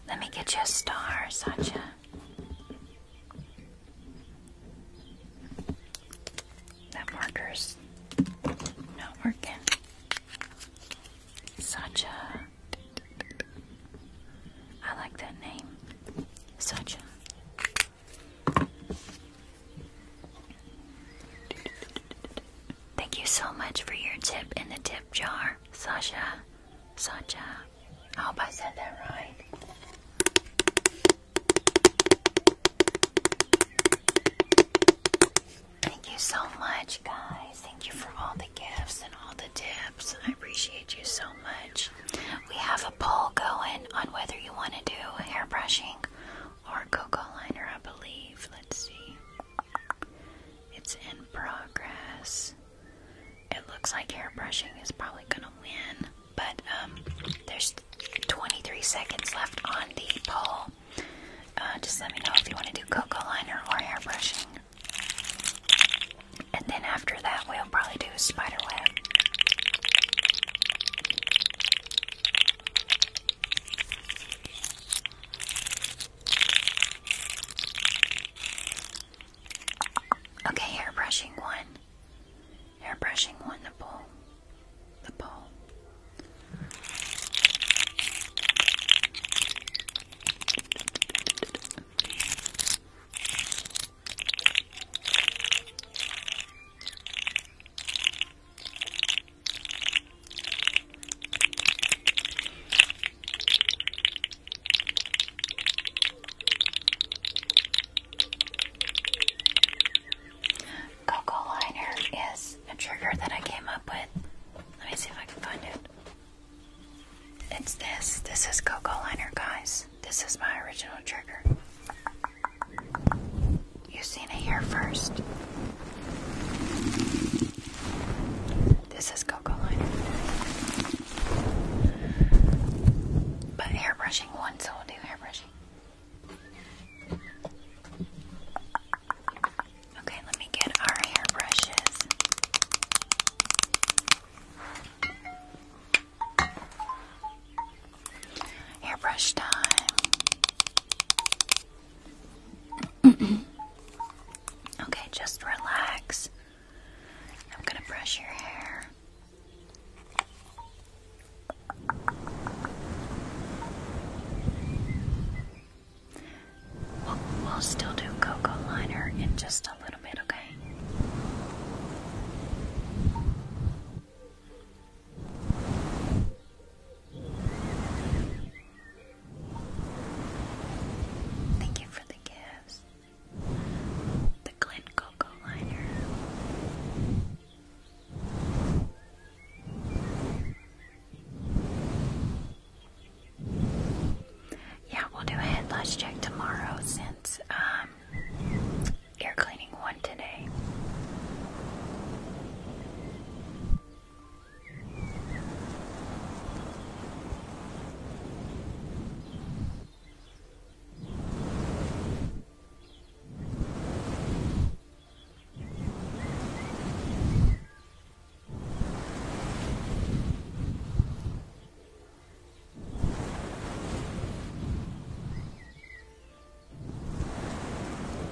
Let me get you a star, Sacha. That marker's not working. Sasha, I like that name. Sasha. Thank you so much for your tip in the tip jar, Sasha. Sasha. I hope I said that right. Thank you so much, guys. Thank you for all the gifts and all the tips. I appreciate you so much. We have a poll going on whether you want to do hair brushing or cocoa liner, I believe. Let's see. It's in progress. It looks like hair brushing is probably going to win. But um, there's 23 seconds left on the poll. Uh, just let me know if you want to do cocoa liner or airbrushing. And then after that, we'll probably do spider web. Okay, hair brushing one. Hair brushing won the poll the ball. Coco liner is a trigger that I came up with. Let me see if I can find it. It's this. This is Coco liner, guys. This is my original trigger. you seen it here first. This is Coco liner. But hairbrushing once, so we'll do hairbrushing. Okay, let me get our hair brushes. Hairbrush time. okay, just relax. I'm going to brush your hair. We'll, still do cocoa liner in just a little bit, okay? Thank you for the gifts. The Glint Cocoa Liner. Yeah, we'll do a headless check tomorrow since um, air cleaning one today.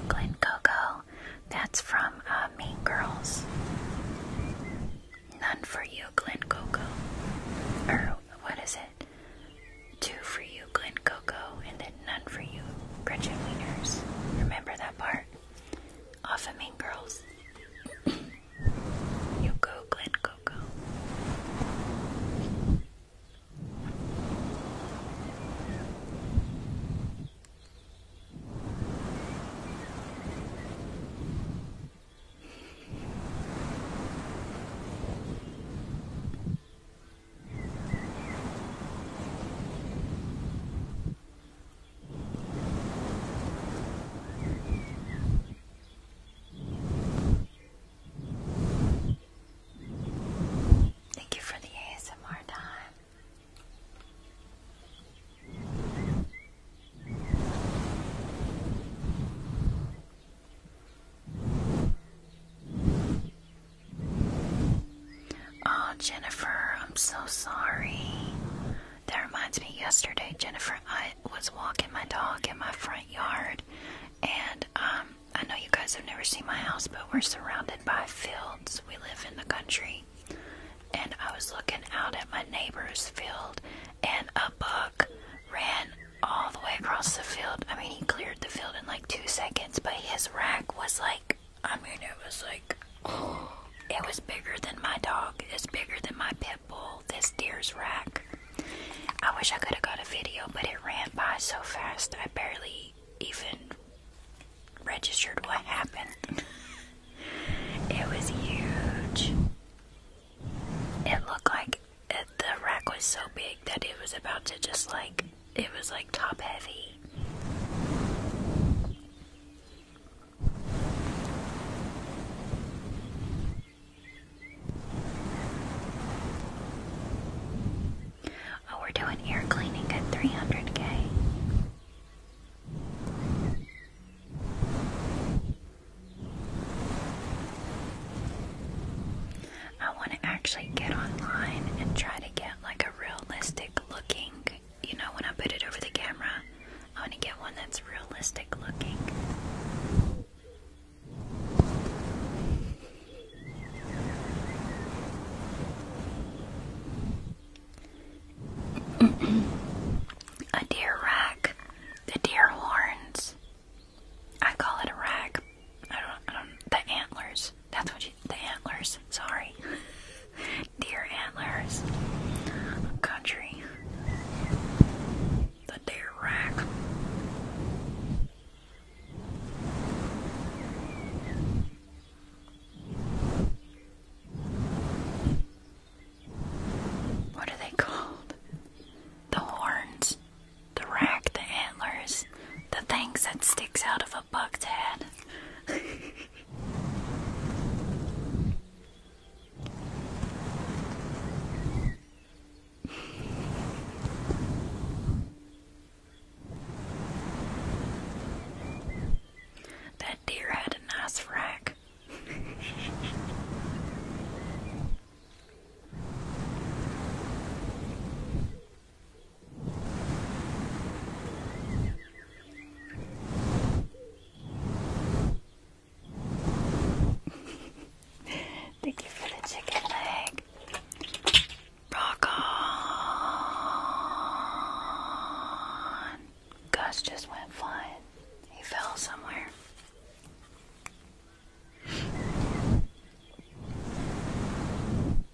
Glenn Coco, that's from uh, Mean Girls. None for you, Glenn Coco what is it? Two for you, Glen Coco, and then none for you, Gretchen Wieners. Remember that part? Off of Mean Girls. you go, Glen Coco. Thank you for the ASMR time. Oh, Jennifer, I'm so sorry. That reminds me, yesterday, Jennifer, I was walking my dog in my front yard, and um, I know you guys have never seen my house, but we're surrounded by fields. We live in the country, and I was looking out at my neighbor's field, and a buck ran all the way across the field. I mean, he cleared the field in like two seconds, but his rack was like, I mean, it was like, it was bigger than my dog. It's bigger than my pit bull, this deer's rack. I wish I could have got a video, but it ran by so fast, I barely even registered what happened. it was huge. It looked like the rack was so big that it was about to just like it was like top heavy. Oh, we're doing air cleaning at 300k. I want to actually get online and try to get like a realistic looking, you know, when I put it over the camera, I want to get one that's realistic looking. a deer rack, the deer horns. I call it a rack. I don't, I The antlers. That's what you, the antlers. Sorry, deer antlers. Country. The deer rack. What are they called? The horns. The rack, the antlers, the things that sticks out of a buck's head. that deer had a nice rack. Thank you for the chicken leg. Rock on. Gus just went flying. He fell somewhere.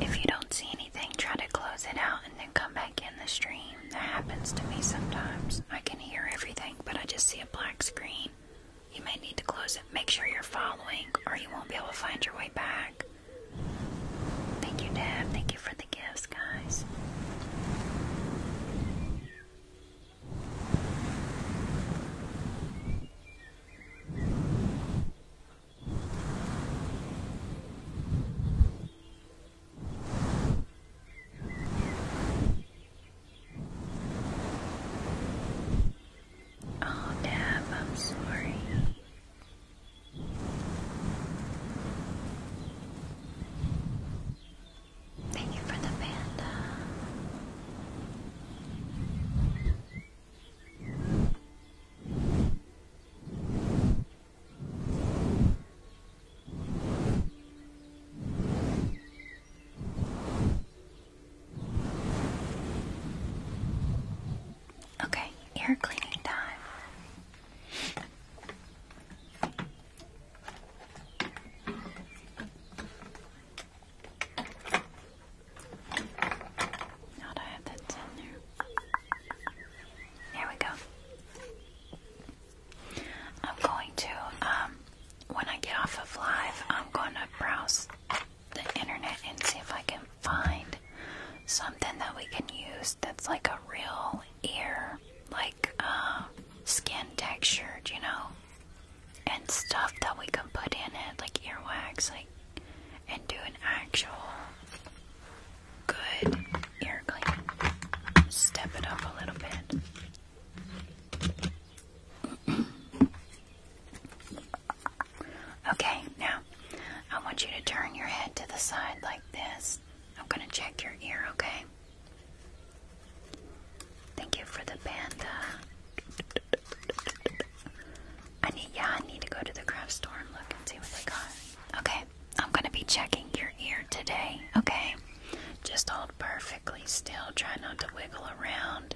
If you don't see anything, try to close it out and then come back in the stream. That happens to me sometimes. I can hear everything, but I just see a black screen. You may need to close it. Make sure you're following, or you won't be able to find your way back. Thank you, Deb. Thank you for the gifts, guys. Oh, Deb, I'm sorry. Thank you for the panda. Okay, ear cleaning time. Now that I have that in there. There we go. I'm going to, um, when I get off of live, I'm going to browse the internet and see if I can find something that we can use that's like a real ear, like, uh, skin textured, you know, and stuff that we can put in it, like earwax, like, and do an actual good ear clean. Step it up a little bit. okay, now I want you to turn your head to the side like this. I'm gonna check your ear, okay? Thank you for the panda. I need, yeah, I need to go to the craft store and look and see what they got. Okay, I'm gonna be checking your ear today. Okay, just hold perfectly still. Try not to wiggle around.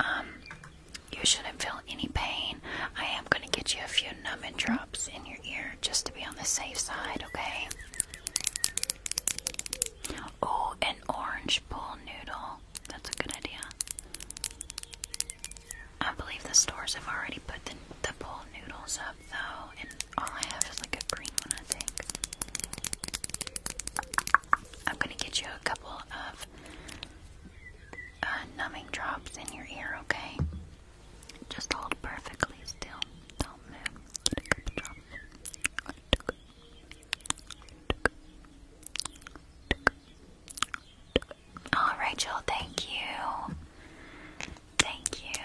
Um, you shouldn't feel any pain. I am gonna get you a few numbing drops in your ear just to be on the safe side. Okay. Oh, an orange bowl noodle. That's a good idea. I believe the stores have already put the, bowl noodles up, though, and all I have is like a green one, I think. I'm gonna get you a couple of uh, numbing drops in your ear, okay? Just hold perfectly still. Don't move. Oh, Rachel, thank you. Thank you.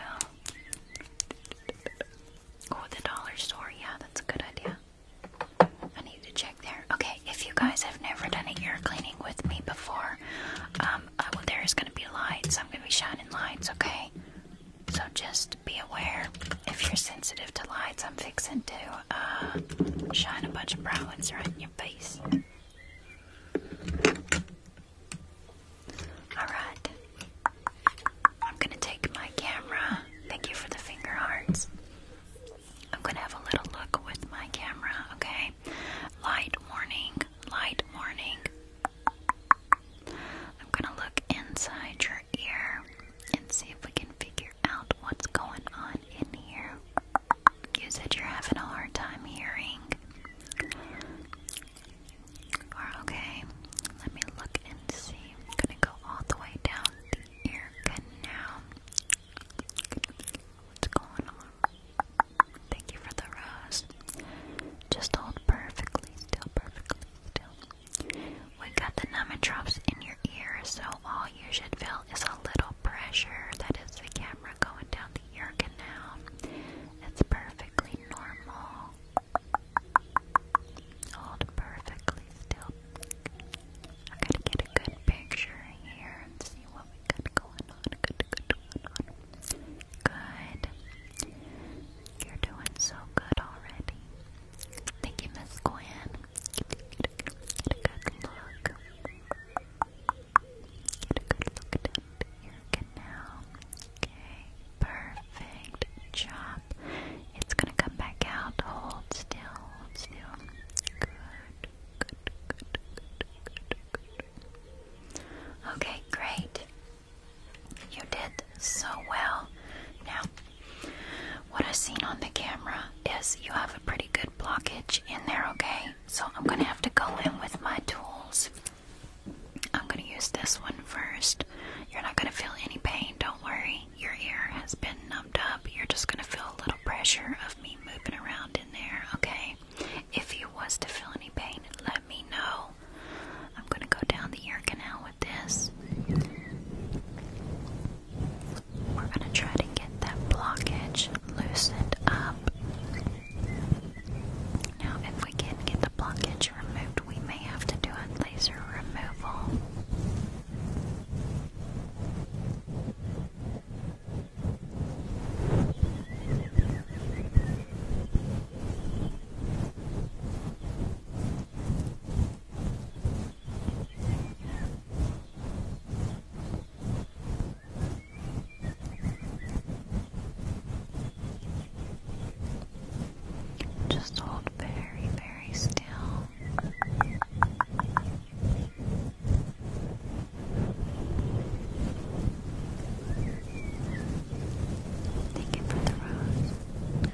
Oh, the dollar store. Yeah, that's a good idea. I need to check there. Okay, if you guys have never done an ear cleaning with me before, um, uh, there is going to be lights. I'm going to be shining lights, okay? So just be aware if you're sensitive to lights, I'm fixing to uh, shine a bunch of bright ones right in your face. Alright. I'm gonna take my camera. Thank you for the finger hearts. I'm gonna have a little look with my camera, okay? Light warning, light warning, I'm gonna look inside your ear and see if we can figure out what's going on in here. You said you're having a hard time hearing. okay, let me look and see. I'm gonna go all the way down the ear canal. What's going on? Thank you for the rose. Just hold perfectly still, perfectly we got the number drops in your ear, so all you should feel is a little pressure. That is the camera going down the ear canal. It's perfectly normal. Hold perfectly still. I gotta get a good picture here and see what we got going on. Good, good, going on. Good. You're doing so good already. Thank you, Miss Gwen. Get a, good look. Get a good look at your canal. Okay, perfect job. It's gonna come back out. Hold still, still. Good, good, good, good, good, good. Okay, great. You did so well. Now, what I've seen on the camera is you have a pretty good blockage in there, okay? So I'm gonna have to go in with my tools. I'm gonna use this one first. You're not gonna feel any pain, don't worry. Your ear has been numbed up. You're just gonna feel a little pressure of me moving around in there, okay? If you was to feel any pain, let me know. I'm gonna go down the air canal with this. We're gonna try to get that blockage loosened up. Now, if we can't get the blockage removed, we may have to do a laser removal. Just hold very, very still. Thank you for the rose.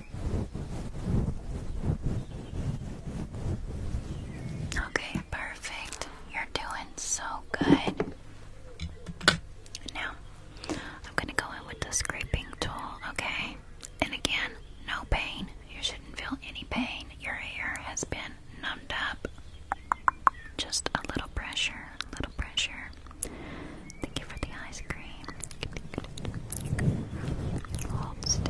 Okay, perfect. You're doing so good. Now, I'm gonna go in with the scraping tool, okay? And again, no pain. You shouldn't feel any pain. Your hair has been numbed up. Just a little pressure, little pressure. Thank you for the ice cream. Hold still.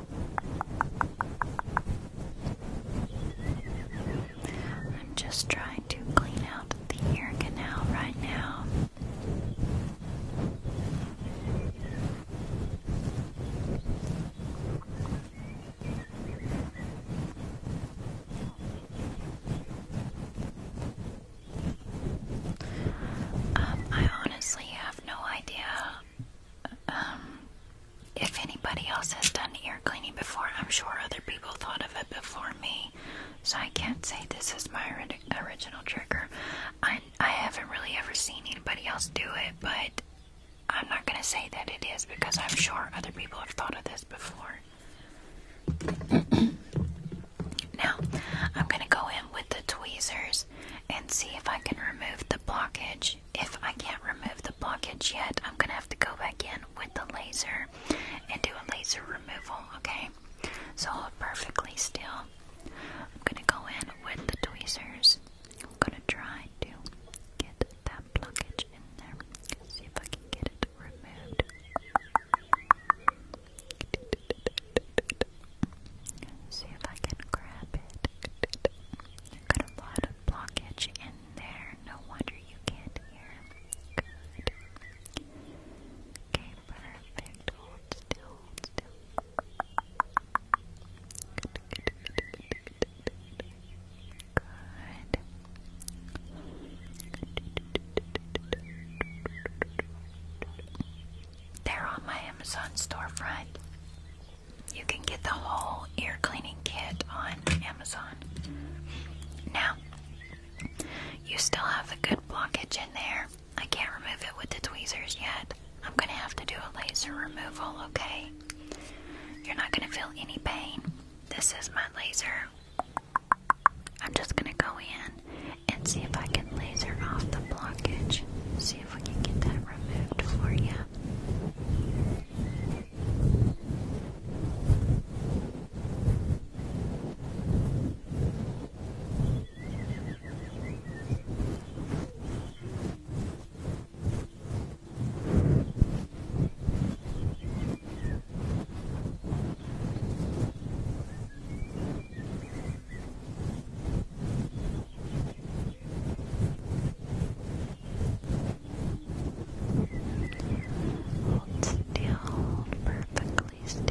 I'm just trying to clean out the ear canal right now. Um, I honestly have no idea um if anybody else has done ear cleaning before, I'm sure other people thought of it before me. So I can't say this is my original trigger. I, I haven't really ever seen anybody else do it, but I'm not going to say that it is because I'm sure other people have thought of this before. now, I'm going to go in with the tweezers and see if I can remove the blockage if I can't remove the blockage yet, I'm gonna have to go back in with the laser and do a laser removal, okay? So hold perfectly still. I'm gonna go in with the tweezers. I'm gonna try to get that blockage in there. See if I can get it removed. See if I can grab it. Got blockage in there. No wonder you can't hear. Good. Okay, perfect. Hold still, still. Good. They're on my Amazon storefront. You can get the whole ear cleaning kit on Amazon. Now, you still have the good blockage in there. I can't remove it with the tweezers yet. I'm gonna have to do a laser removal, okay? You're not gonna feel any pain. This is my laser. I'm just gonna go in and see if I can laser off the blockage. See see if we can get that removed for you. Hold still, perfectly still.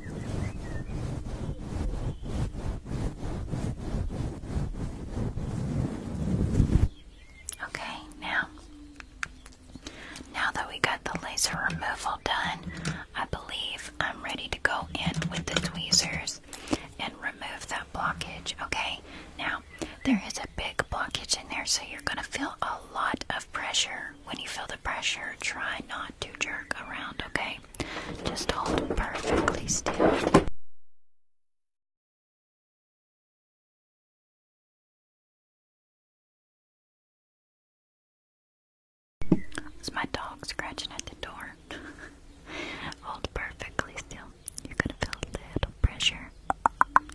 Okay, now, now that we got the laser removal done, I believe I'm ready to go in with the tweezers and remove that blockage. Okay, now there is a big blockage in there, so you're going to feel a lot of pressure. When you feel the pressure, try not to jerk around, okay? Just hold perfectly still. It's my dog scratching at the door. Hold perfectly still. You're gonna feel a little pressure.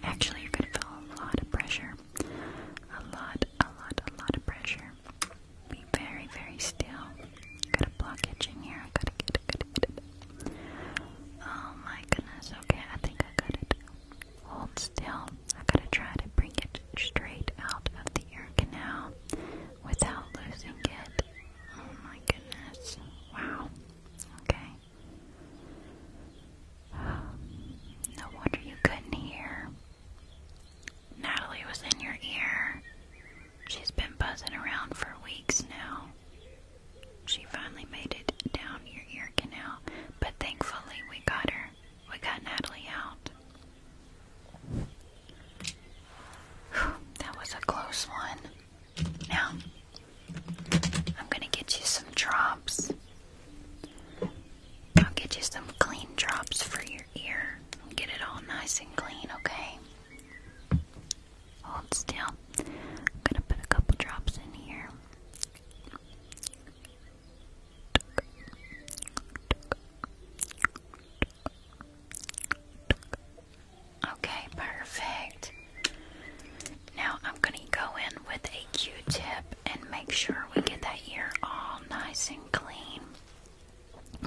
Actually, you're gonna feel a lot of pressure. A lot, a lot, a lot of pressure. Be very, very still. Got a blockage in here. I gotta gotta get it. Oh my goodness. Okay, I think I got it. Hold still. I gotta try to bring it straight out of the ear canal without losing it. Oh my goodness. Wow. Okay. No wonder you couldn't hear. Natalie was in your ear. She's been buzzing around for weeks now. She finally made it down your ear canal, but thankfully we got her. We got Natalie out. that was a close one. Now, I'm gonna get you some drops. I'll get you some clean drops for your ear. Get it all nice and clean, okay? Hold still. I'm gonna put a couple drops in here. Okay, perfect. Now I'm going to go in with a Q tip and make sure we get that ear all nice and clean.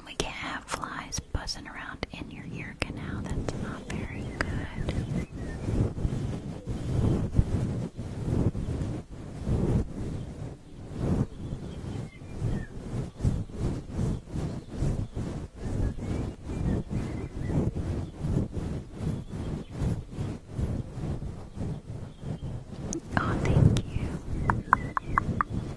We can't have flies buzzing around in your ear canal. That's not very good. Oh, thank you.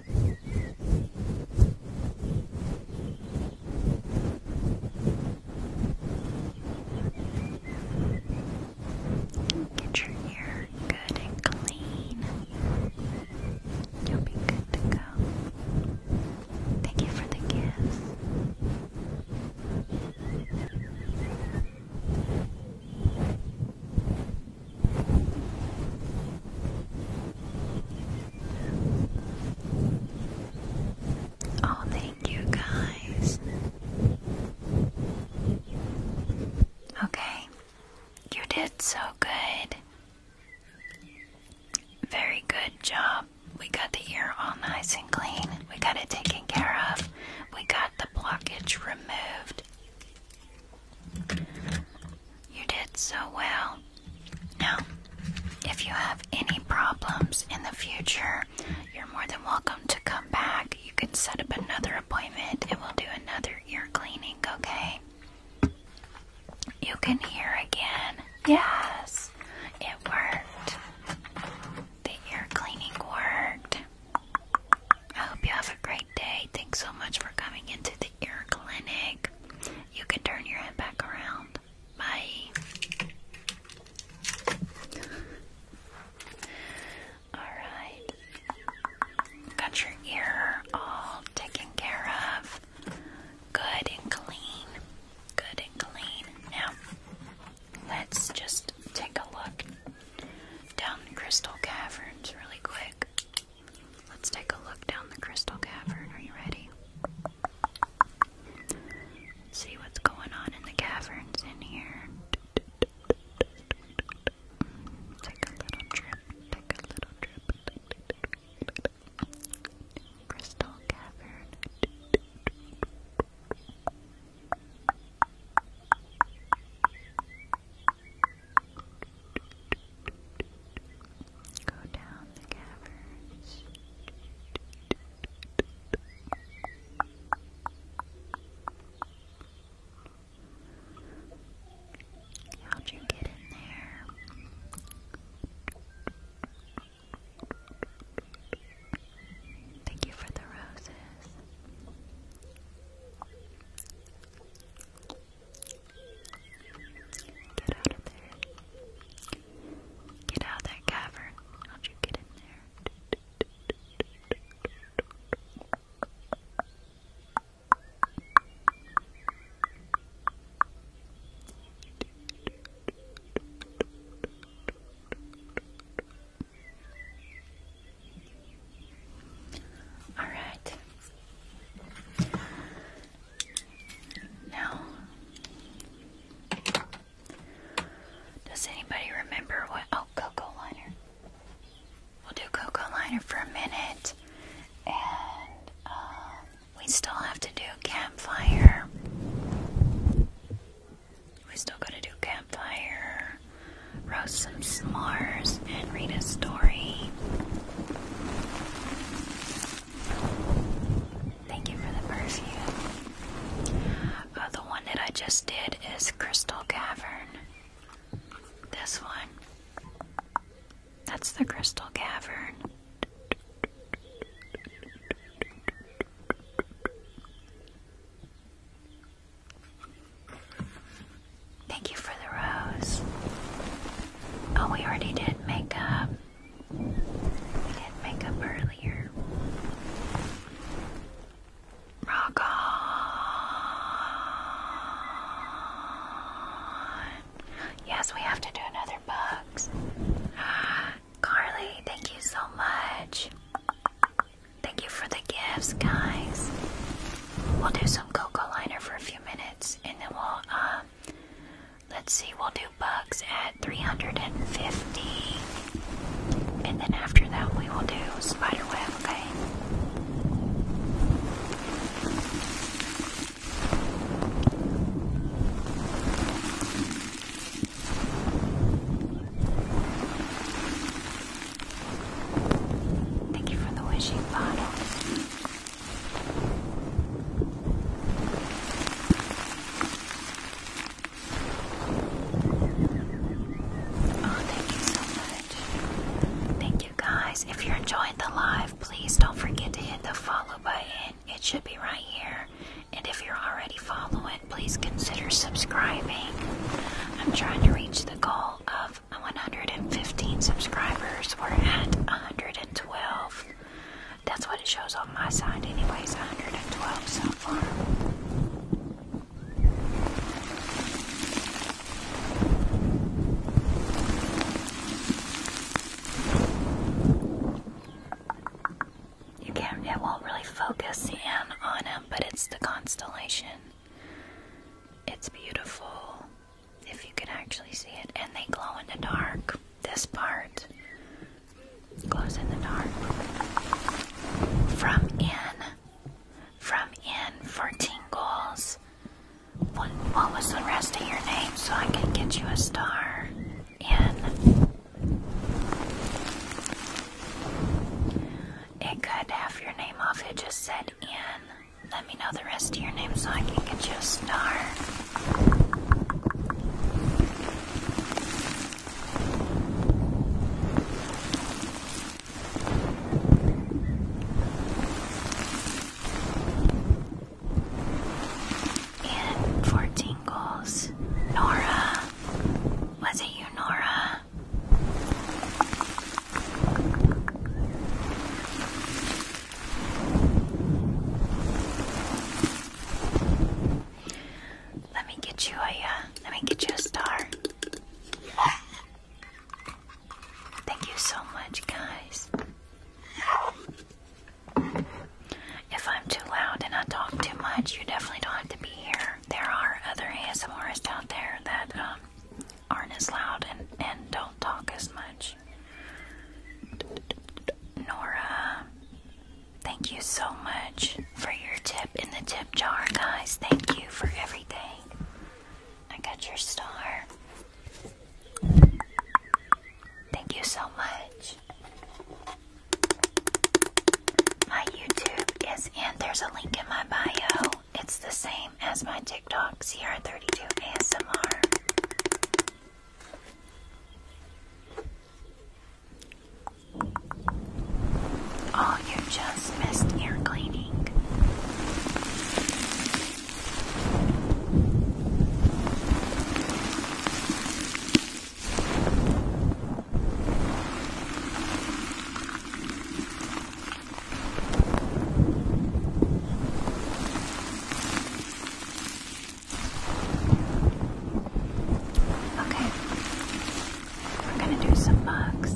Get your ear good and clean. You'll be good to go. Thank you for the gifts. Oh, thank you guys. Okay, you did so good. Very good job. We got the ear all nice and clean. We got it taken care of. We got the blockage removed. You did so well. Now, if you have any problems in the future, you're more than welcome to come back. You can set up another appointment and we'll do another ear cleaning, okay? You can hear again. Yes, it worked. The ear cleaning worked. I hope you have a great day. Thanks so much for coming into the ear clinic. You can turn your head back around. Bye. Alright. Got your ear all taken care of. Good and clean. Good and clean. Now, let's just take a look down Crystal Caverns really quick. Let's take a look down the crystal cavern. Are you ready? see what's going on in the caverns in here. Take a little trip. Take a little trip. Crystal cavern. Go down the caverns. How'd you get in there? Thank you for the roses. Get out of there. Get out of that cavern. How'd you get in there? All right. Now, does anybody remember what? Oh, cocoa liner. We'll do cocoa liner for a minute, and um, we still have to do campfire. We still gotta do campfire roast some s'mores, and read a story. Thank you for the perfume. Oh, the one that I just did is Crystal Cavern. This one. That's the Crystal Cavern. Thank you for the rose. Oh, we already did makeup. We did makeup earlier. Rock on. Yes, we have to do another box. Carly, thank you so much. Thank you for the gifts, guys. We'll do some cocoa liner for a few minutes and then we'll um, let's see, we'll do bugs at 350, and then after that we will do spider web. Okay. Thank you for the wishing bottle. Oh, thank you so much. Thank you guys. If you're enjoying the live, please don't forget to hit the follow button. It should be right here. And if you're already following, please consider subscribing. I'm trying to reach the goal of have 115 subscribers. We're at 112. That's what it shows on my side, anyways. 112 so far. You can't, it won't really focus in on them, but it's the constellation. It's beautiful if you can actually see it. And they glow in the dark. This part glows in the dark. From in. From in fourteen goals. What, what was the rest of your name so I can get you a star? In. It could have your name off, it just said in let me know the rest of your name so I can get you a star. And 14 goals. Nora. Was it you, Nora? Let me get you a uh, let me get you a star. Thank you so much, guys. If I'm too loud and I talk too much, you definitely don't have to be here. There are other ASMRs out there that um, aren't as loud and, don't talk as much. Nora, thank you so much for your tip in the tip jar, guys. Thank you for everything. I got your star. Thank you so much. My YouTube is in, there's a link in my bio it's the same as my TikTok, CR32 ASMR. Oh, you just missed ear cleaning. Okay, we're going to do some bugs.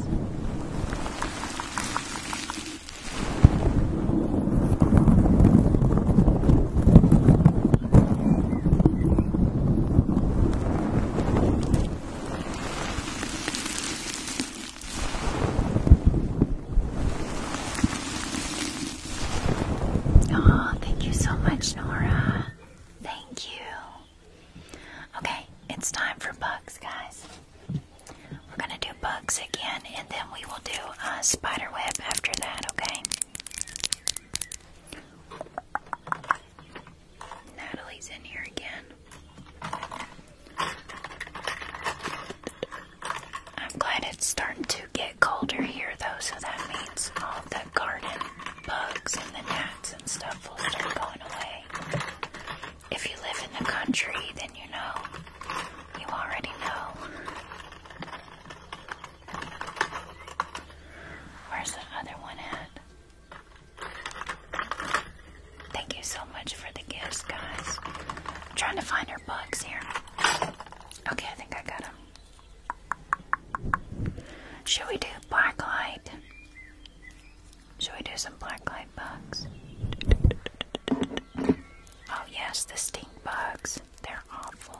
Oh, thank you so much, Nora. Thank you. Okay, it's time for bugs, guys. We're gonna do bugs again, and then we will do a uh, spider web after that. Okay. Natalie's in here again. I'm glad it's starting to get colder here, though, so that means all the garden bugs and the gnats and stuff will start going away. If you live in the country, then you know. You already know. Where's the other one at? Thank you so much for the gifts, guys. I'm trying to find our bugs here. Okay, I think I got them. Should we do black light? Should we do some black light bugs? Oh, yes, the stink bugs. They're awful.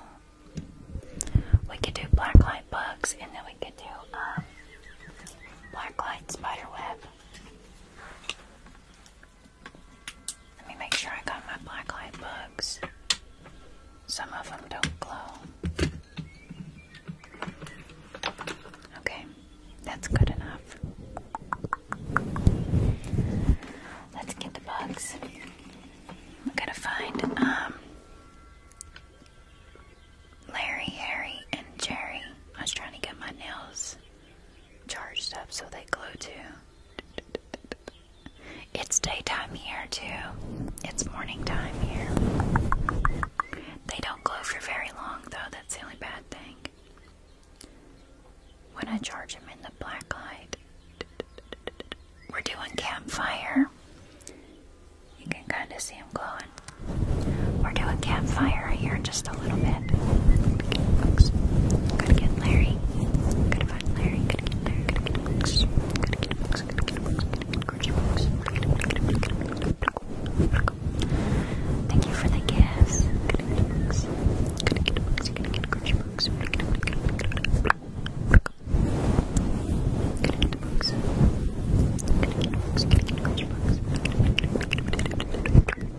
We could do black light bugs and then we could do um, black light spider web. Let me make sure I got my black bugs. Some of them don't glow. Okay, that's good enough. Let's get the bugs. I'm gonna find um Larry, Harry, and Jerry. I was trying to get my nails charged up so they glow too. It's daytime here, too. It's morning time here. They don't glow for very long, though. That's the only bad thing. When I charge them in the black light, we're doing campfire. You can kind of see them glowing. We're doing campfire here just a little bit. Gotta get Lux. Gotta get Larry. Gotta find Larry. Gotta get Larry. Gotta get Lux. Gotta get Lux. Gotta get Lux. Gotta get Lux. Gotta get Lux. Thank you for the gifts. Gotta get Lux. Gotta get Lux. Gotta get Lux. Gotta get Lux. Gotta get Lux.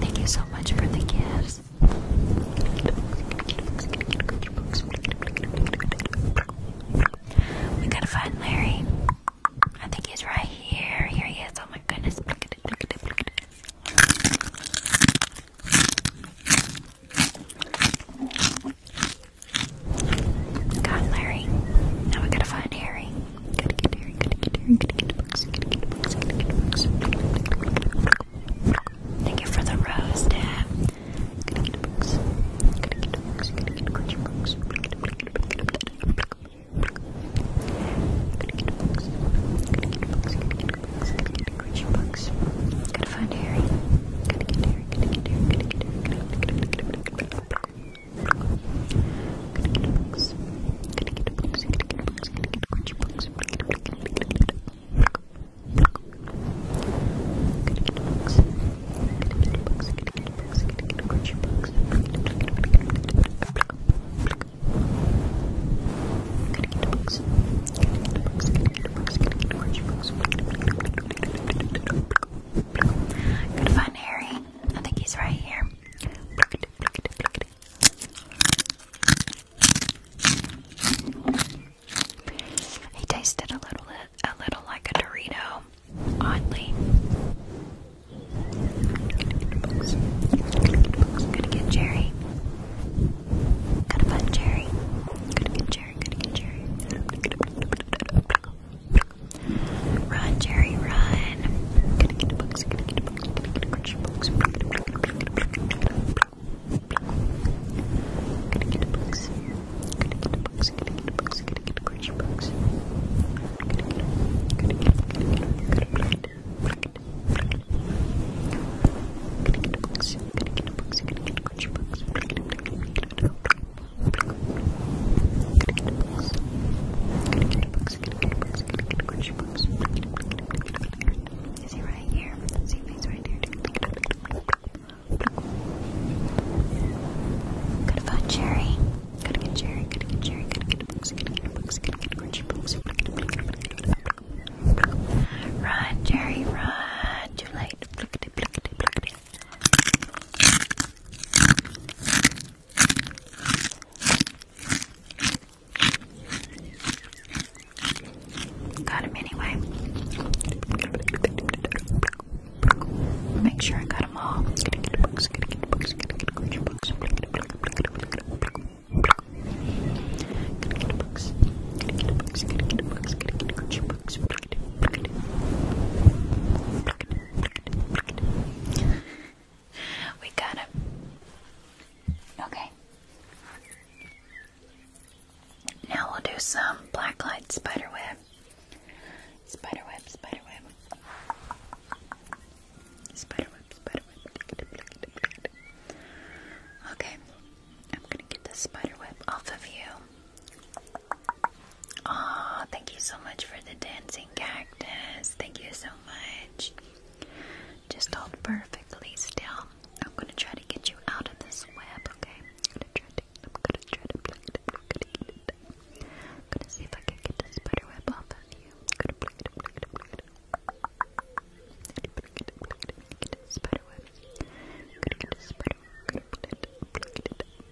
Thank you so much for the gifts. We gotta find Larry. I think he's right here. Here he is. Oh my goodness. Got Larry. Now we gotta find Harry. Gotta get Harry, gotta get Harry, gotta get books, gotta get books, gotta get books. Thank you for the rose, Dad. Gotta get books. Gotta get books, gotta get books. Gotta get books. Gotta get books, gotta get books, to find Harry. Gotta get Harry, gotta get Harry, gotta get Harry, gotta get Harry. Gotta get books. Gotta get books, gotta get books, gotta get books, books. Gotta get books. Gotta get books, gotta get books, gotta get books, books. Gotta get books. Gotta get books, gotta get books, gotta get books, books. Good find Harry. I think he's right here. He tasted a little a little like a Dorito, oddly. Gonna get Jerry. Gotta find Jerry. Gotta get Jerry. Gotta get Jerry. Run, Jerry, run. Gonna get a box, gonna get a box, gonna get a crunch box. Gonna get a box. Gonna get a box, gonna get a box, gonna get a crunch box. Gonna get a box, gonna get a box, gonna get a box. Gonna get a box, box. Is he right here? Let's see if he's right here. Gotta find Jerry. Gotta get Jerry. Gotta get Jerry. Gotta get books. Gotta get books. Gotta get crunchy books. Run, Jerry, run. Too late. Got him anyway. Make sure I got them all. We got him. Okay. Now we'll do some blacklight light spiderweb. Spiderweb, spiderweb. Spiderweb, spiderweb. Okay. I'm gonna get the spiderweb off of you. Aw, thank you so much for the dancing cactus. Thank you so much. Just hold perfectly still. I'm gonna try to get you out of this web, okay? I'm gonna try to I'm gonna try to plug it up, I'm gonna see if I can get the spider web off of you. I'm gonna plug it up, plug it up, plug it up. Spider web. I'm gonna get the spider web. I'm gonna plug it up, plug it up,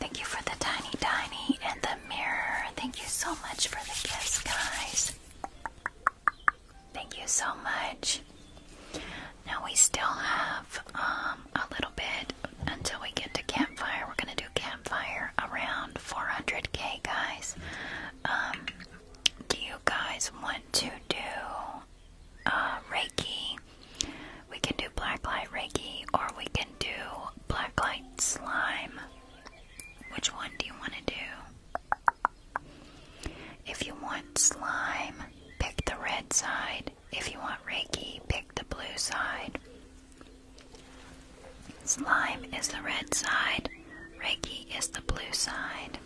Thank you for the tiny tiny and the mirror. Thank you so much for the gifts, guys. Thank you so much. Now we still have um a little until we get to campfire. We're gonna do campfire around 400k, guys. Um, do you guys want to do uh, Reiki? We can do blacklight Reiki, or we can do blacklight slime. Which one do you want to do? If you want slime, pick the red side. If you want Reiki, pick the blue side. Slime is the red side. Reiki is the blue side.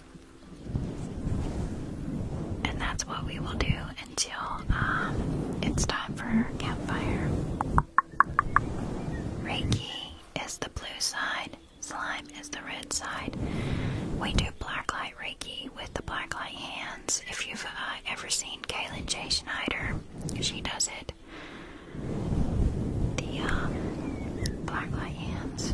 And that's what we will do until um, it's time for campfire. Reiki is the blue side. Slime is the red side. We do black light Reiki with the black light hand. If you've uh, ever seen Kaylin J. Schneider, she does it. The uh, black light hands.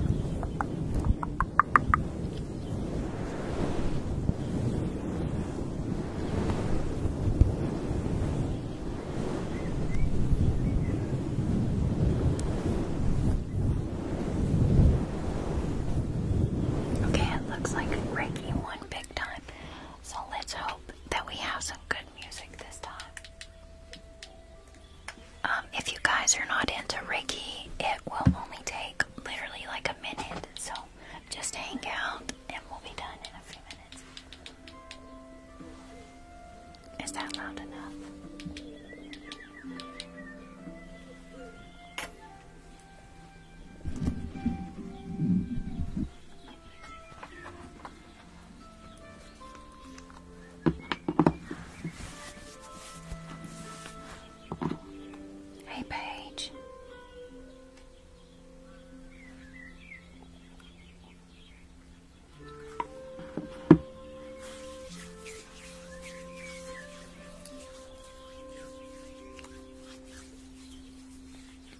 Okay, it looks like Reiki one big time. So let's hope that we have some good music this time. Um, if you guys are not into Reiki, it will only take literally like a minute. So just hang out and we'll be done in a few minutes. Is that loud enough? Hey, Paige.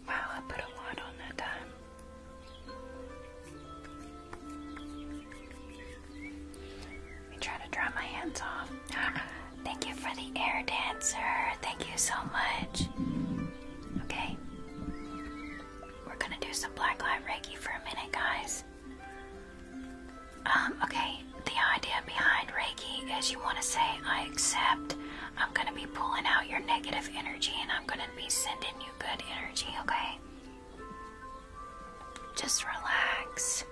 Wow, I put a lot on that time. Let me try to dry my hands off. Thank you for the air dancer. Thank you so much. Okay. We're gonna do some black light reiki for a minute, guys. Um, okay, the idea behind Reiki is you want to say, I accept I'm going to be pulling out your negative energy and I'm going to be sending you good energy, okay? Just relax.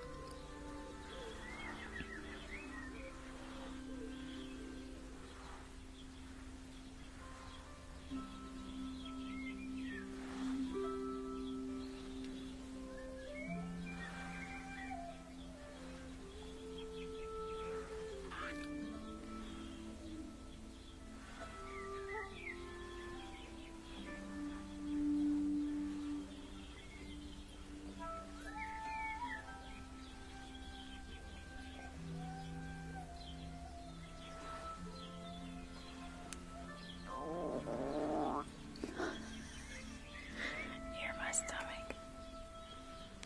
Near my stomach.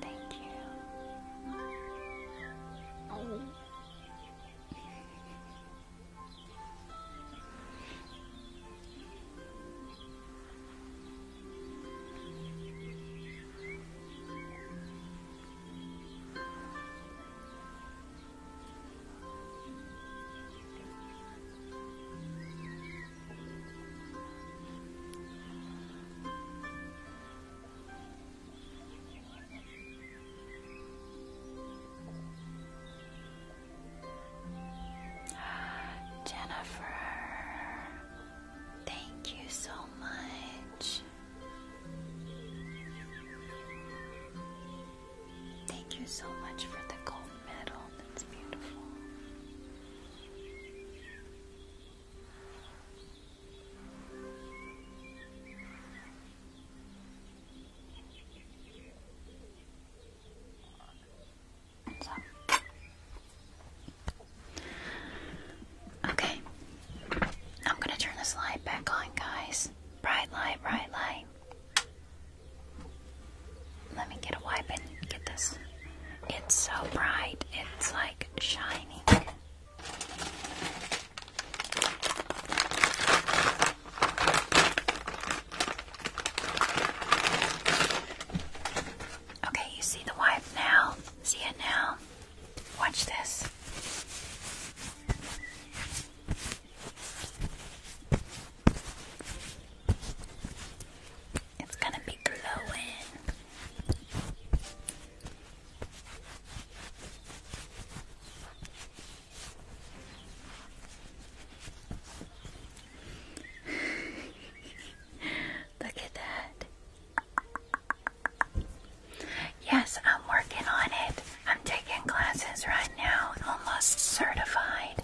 Thank you. Oh. Jennifer, thank you so much. Thank you so much for the gold medal. That's beautiful. Okay. I'm going to turn this light back on, guys. Bright light, bright light. Let me get a wipe and get this. It's so bright. It's like shiny. Okay, you see the wipe now? See it now? Watch this. It's going to be glowing. Look at that. Yes, I'm working on it. I'm taking classes right now, almost certified.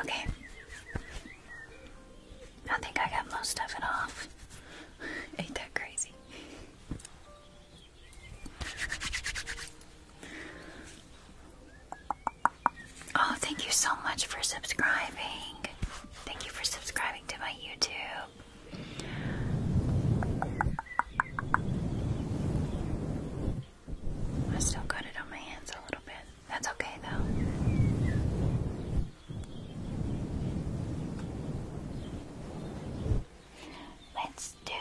Okay. I think I got most of it off. Ain't that crazy? Oh, thank you so much for subscribing. Thank you for subscribing to my YouTube. I still got it on my hands a little bit. That's okay though. Let's do.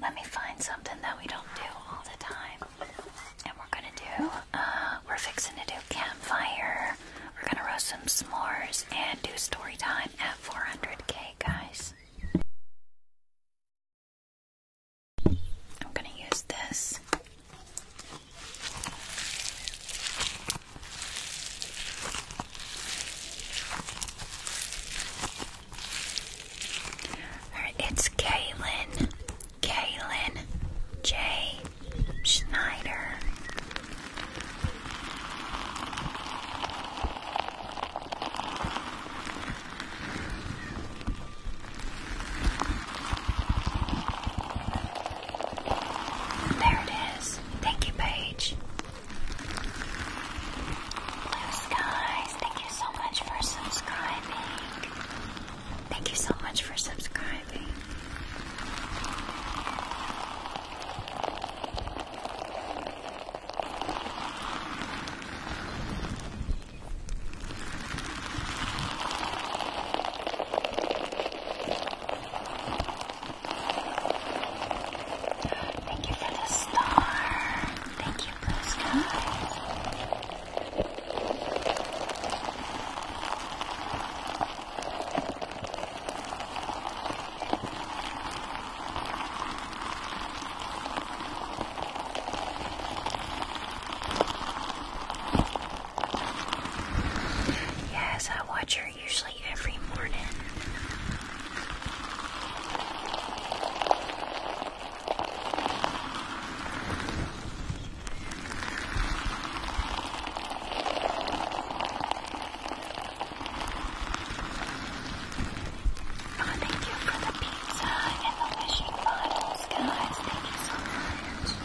Let me find something that we don't do all the time. And we're gonna do, uh, we're fixing to do campfire. We're gonna roast some s'mores and do story time at 400k, guys. I'm gonna use this. Alright, it's Kaylin. Kaylin J. Schneider. There it is. Thank you, Paige. Blue skies. Thank you so much for subscribing. Thank you so much for subscribing. Thank you for the star. Thank you, Blue Yes, I watch her usually every morning. Oh, thank you for the pizza and the wishing bottles, guys. Thank you so much.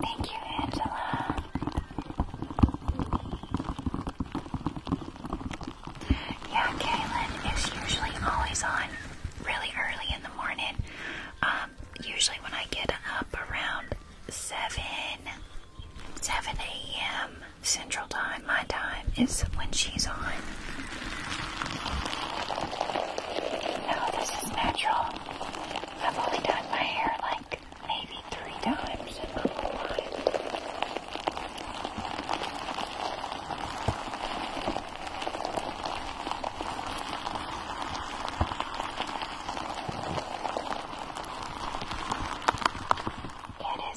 Thank you, Angela. Yeah, Kaylin is usually always on really early in the morning. Um, usually when I get up around 7, 7 a.m. Central Time, my time, is when she's on. No, this is natural. I've only done my hair like maybe three times in my life. Get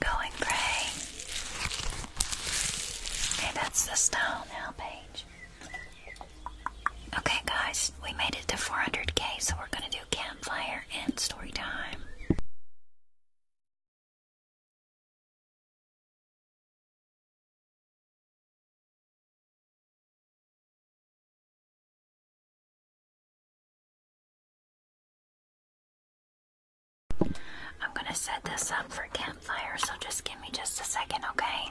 Going gray. Okay, that's the style now, Paige. Okay, guys, we made it to 400k, so we're gonna do campfire and story time. I'm going to set this up for campfire, so just give me just a second, okay?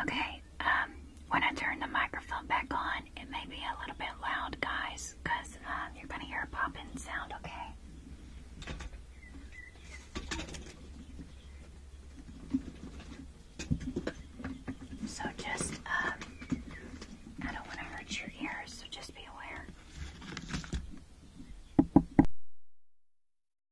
Okay, um, when I turn the microphone back on, it may be a little bit loud, guys, because uh, um, you're going to hear a popping sound, okay? So just, um, I don't want to hurt your ears, so just be aware.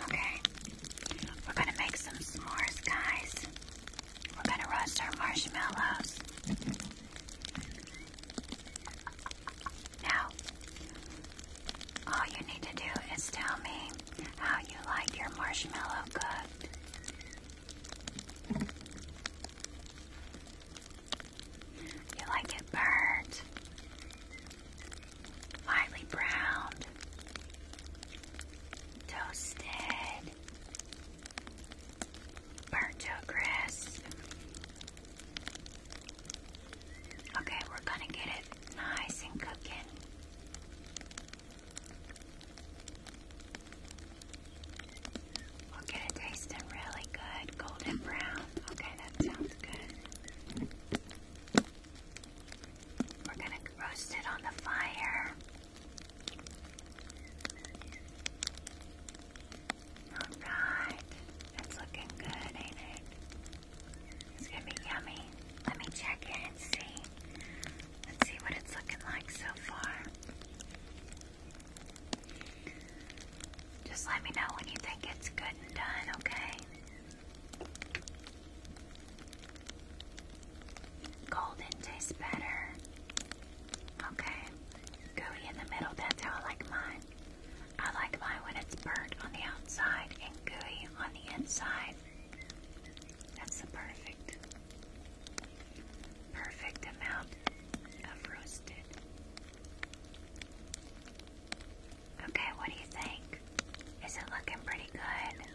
Okay, we're going to make some s'mores, guys. We're going to roast our marshmallows. Now, all you need to do is tell me how you like your marshmallow cooked. You like it burnt, lightly browned, toasted, burnt to a crisp. Okay, we're gonna get it nice and cooking. We'll get it really good, golden brown. Okay, that sounds good. We're gonna roast it on the fire. Alright, that's looking good, ain't it? It's gonna be yummy. Let me check it and see. Let's see what it's looking like so far. Just let me know when you think it's good and done, okay? Golden tastes better. Okay. Gooey in the middle, that's how I like mine. I like mine when it's burnt on the outside and gooey on the inside. That's the perfect, perfect amount of roasted. Okay, what do you think? Is it looking pretty good?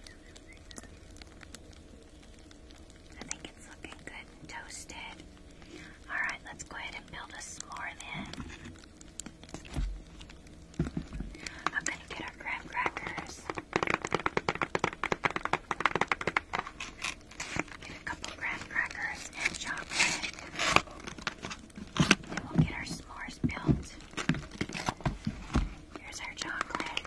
I think it's looking good toasted. Alright, let's go ahead and build a s'more then. I'm gonna get our graham crackers. Get a couple graham crackers and chocolate. Then we'll get our s'mores built. Here's our chocolate.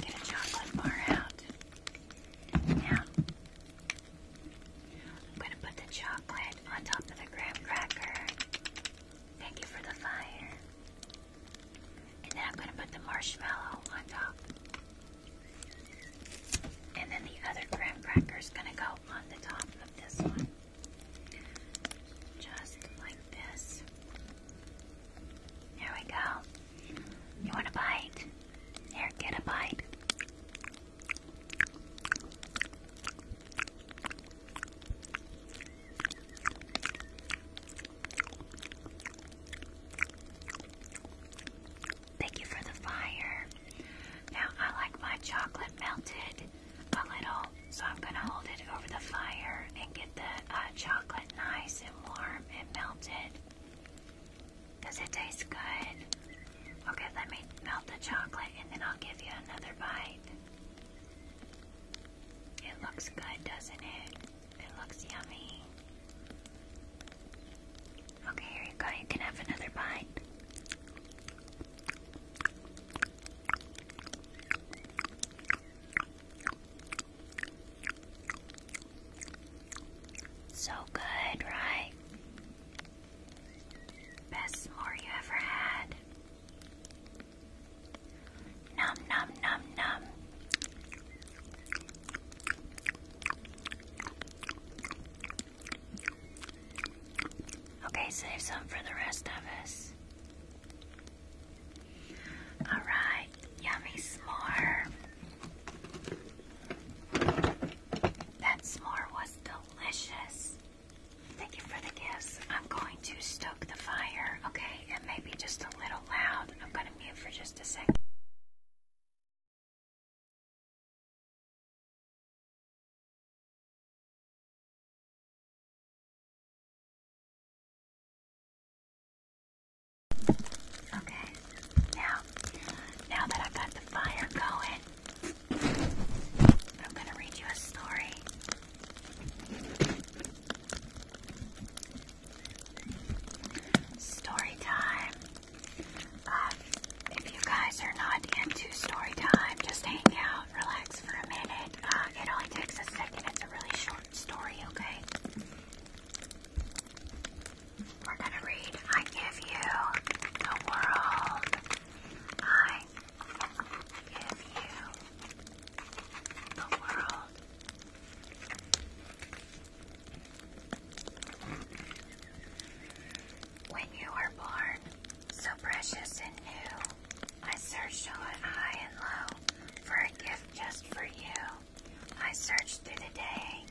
Get a chocolate bar out. Now, I'm going to put the chocolate on top of the graham cracker. Thank you for the fire. And then I'm going to put the marshmallow on top. And then the other graham cracker is going to go on the top of this one. Just like this. There we go. You want a bite? Here, get a bite. Thank you for the fire. Now, I like my chocolate melted a little, so I'm going to hold it over the fire and get the uh, chocolate nice and warm and melted. Does it taste good? Okay, let me melt the chocolate and then I'll give you another bite. It looks good, doesn't it? It looks yummy. Okay, here you go. You can have another bite. So good, right? Best s'more you ever had. Nom nom nom nom. Okay, save some for the rest of us. Alright, yummy s'more. That s'more was delicious. Thank you for the gifts. I'm going to stoke the fire, okay? It may be just a little loud. I'm going to mute for just a second. Okay. Now, now that I got the fire going, I'm going to read you a story. Story time. Um, if you guys are not into story time, just hang out, relax for a minute. Uh, it only takes a second. It's a really short story, okay? We're going to read I Give You the World. I give you the world. When you were born, so precious and new, I searched high and low for a gift just for you. I searched through the day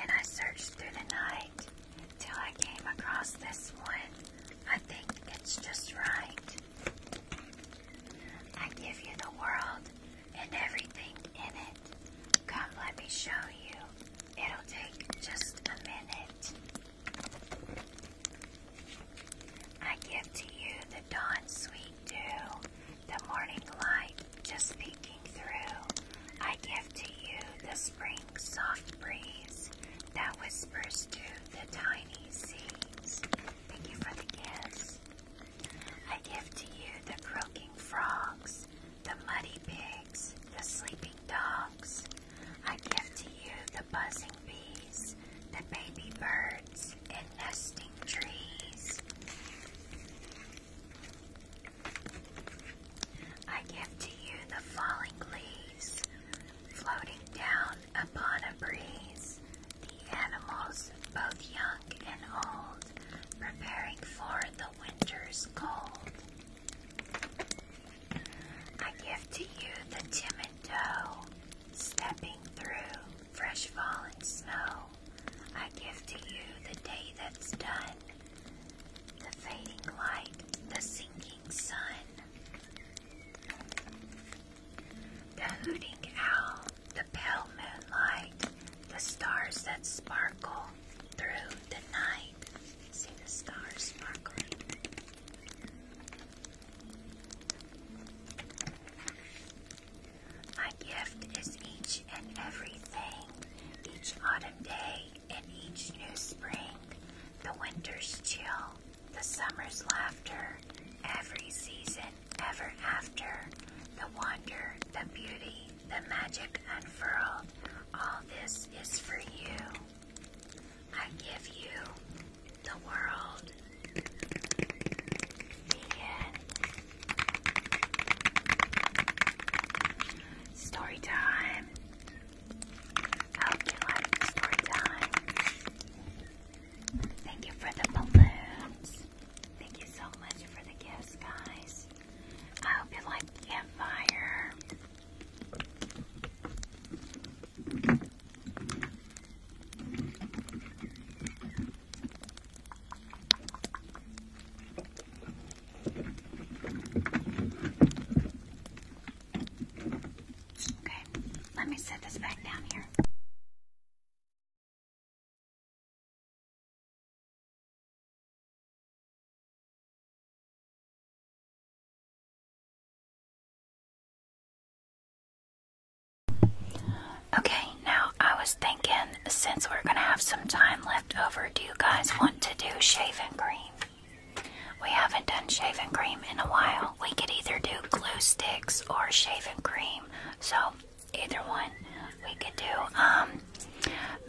and I searched through the night till I came across this one I think it's just right. I give you the world and everything in it. Come, let me show you. It'll take just a minute. I give to you the dawn's sweet dew, the morning light just peeking through. I give to you the spring soft breeze that whispers to the tiny seeds. Thank you for the gifts. I give to you the croaking frogs, the muddy pigs, the sleeping dogs. I give to you the buzzing bees, the baby birds, and nesting trees. I give to you the falling leaves, Floating down upon a breeze, the animals, both young and old, preparing for the winter's cold. I give to you the timid doe, stepping through fresh fallen snow. I give to you the day that's done, the fading light, the sinking sun. The hooting owl, the pale moonlight, the stars that sparkle through the night. See the stars sparkle. My gift is each and everything, each autumn day and each new spring, the winter's chill the summer's laughter, every season ever after, the wonder, the beauty, the magic unfurled, all this is for you. I give you the world. Begin. Story time. I Hope you like story time. Thank you for the balloons. Thank you so much for the gifts, guys. I hope you like campfire. Okay, let me set this back down here. Okay, now I was thinking since we're going to have some time left over, do you guys want to do shaving cream? We haven't done shaving cream in a while. We could either do glue sticks or shaving cream. So, either one. We could do um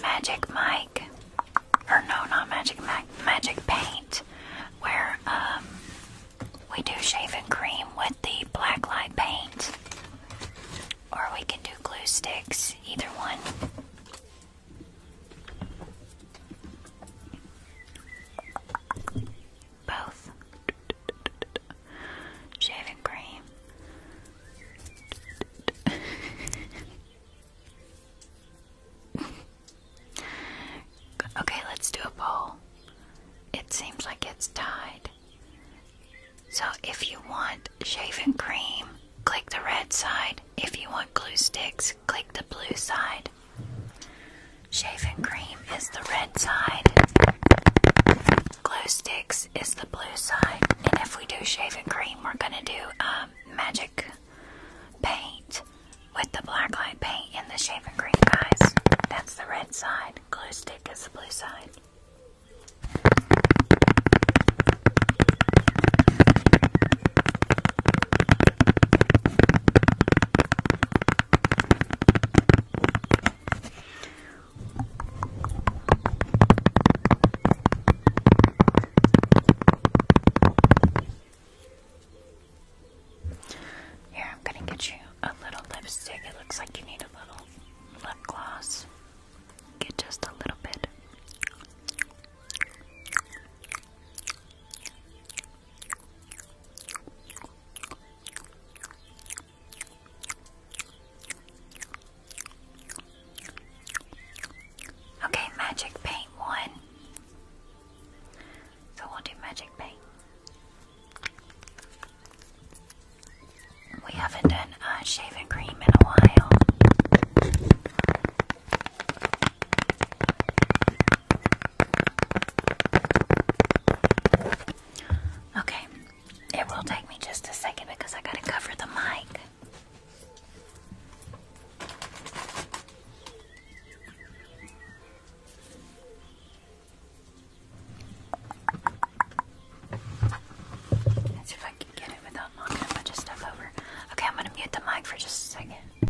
Magic mic, or no, not Magic mic, Magic Paint where um we do shaving cream with the black light paint. Or we can do glue sticks, either one. Both. Shaving cream. okay, let's do a poll. It seems like it's tied. So if you want shaving cream, click the red side. If you want glue sticks, click the blue side. Shaving cream is the red side. Glue sticks is the blue side. And if we do shaving cream, we're gonna do um, magic paint with the black light paint and the shaving cream, guys. That's the red side. Glue stick is the blue side. Here, I'm going to get you a little lipstick. It looks like you need a little lip gloss. Get just a little bit. Okay, magic paint one. So we'll do magic paint. We haven't done uh, shaving cream in a while. Okay, it will take me just a second because I gotta cover the mic. Let's see if I can get it without knocking a bunch of stuff over. Okay, I'm gonna mute the mic for just a second.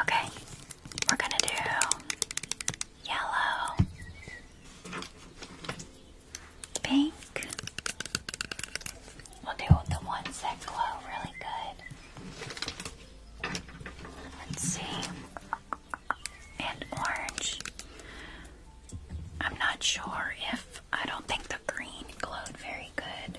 Okay, we're gonna do yellow, pink. We'll do the ones that glow really good. Let's see, and orange. I'm not sure if I don't think the green glowed very good.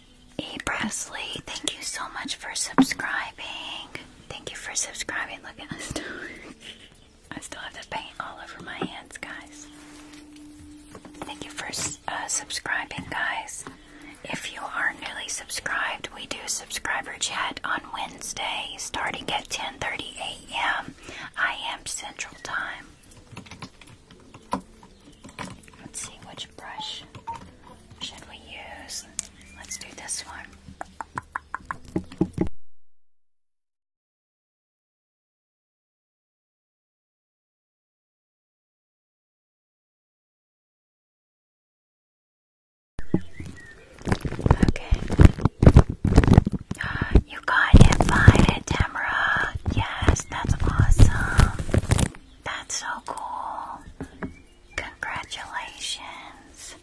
E. Presley, thank you so much for subscribing. Thank you for subscribing. Look at us. I still have the paint all over my hands, guys. Thank you for uh, subscribing, guys. If you are newly subscribed, we do subscriber chat on Wednesday starting at 10:30 a.m. I am Central Time. Let's see which brush should we use. Let's do this one. Okay. Uh, you got it, Violet Tamara. Yes that's awesome. That's so cool. Congratulations.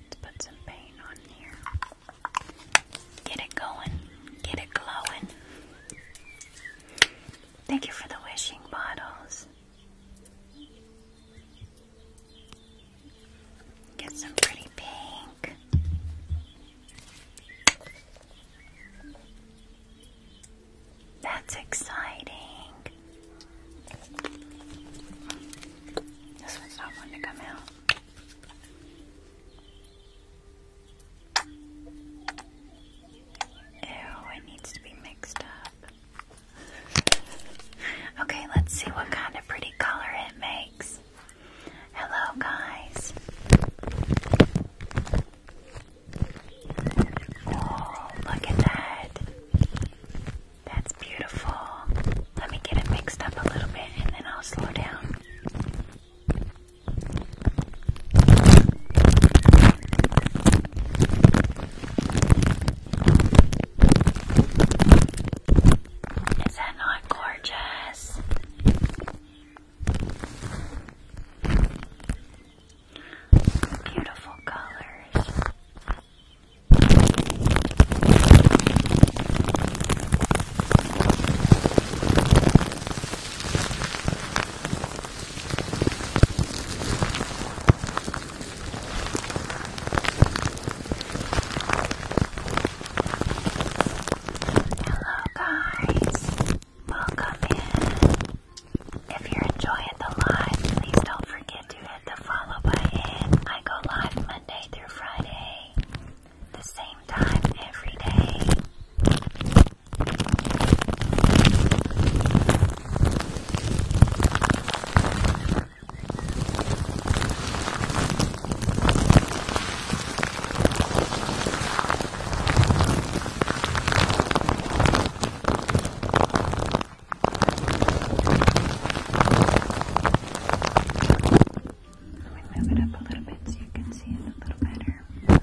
Let's put some paint on here. Get it going. Get it glowing. Thank you for the wishing bottles. Get some pretty pink. That's exciting. This one's not one to come out. Ew, it needs to be mixed up. Okay, let's see what kind of pretty color it makes. Hello, guys. Oh, look at that. That's beautiful. Let me get it mixed up a little bit and then I'll slow down. Is that not gorgeous? Beautiful colors. Hello, guys. Welcome in. If you're enjoying the live, please don't forget to hit the follow button. I go live Monday through Friday, the same time every day. Let me move it up a little bit so you can see it a little better. There we go.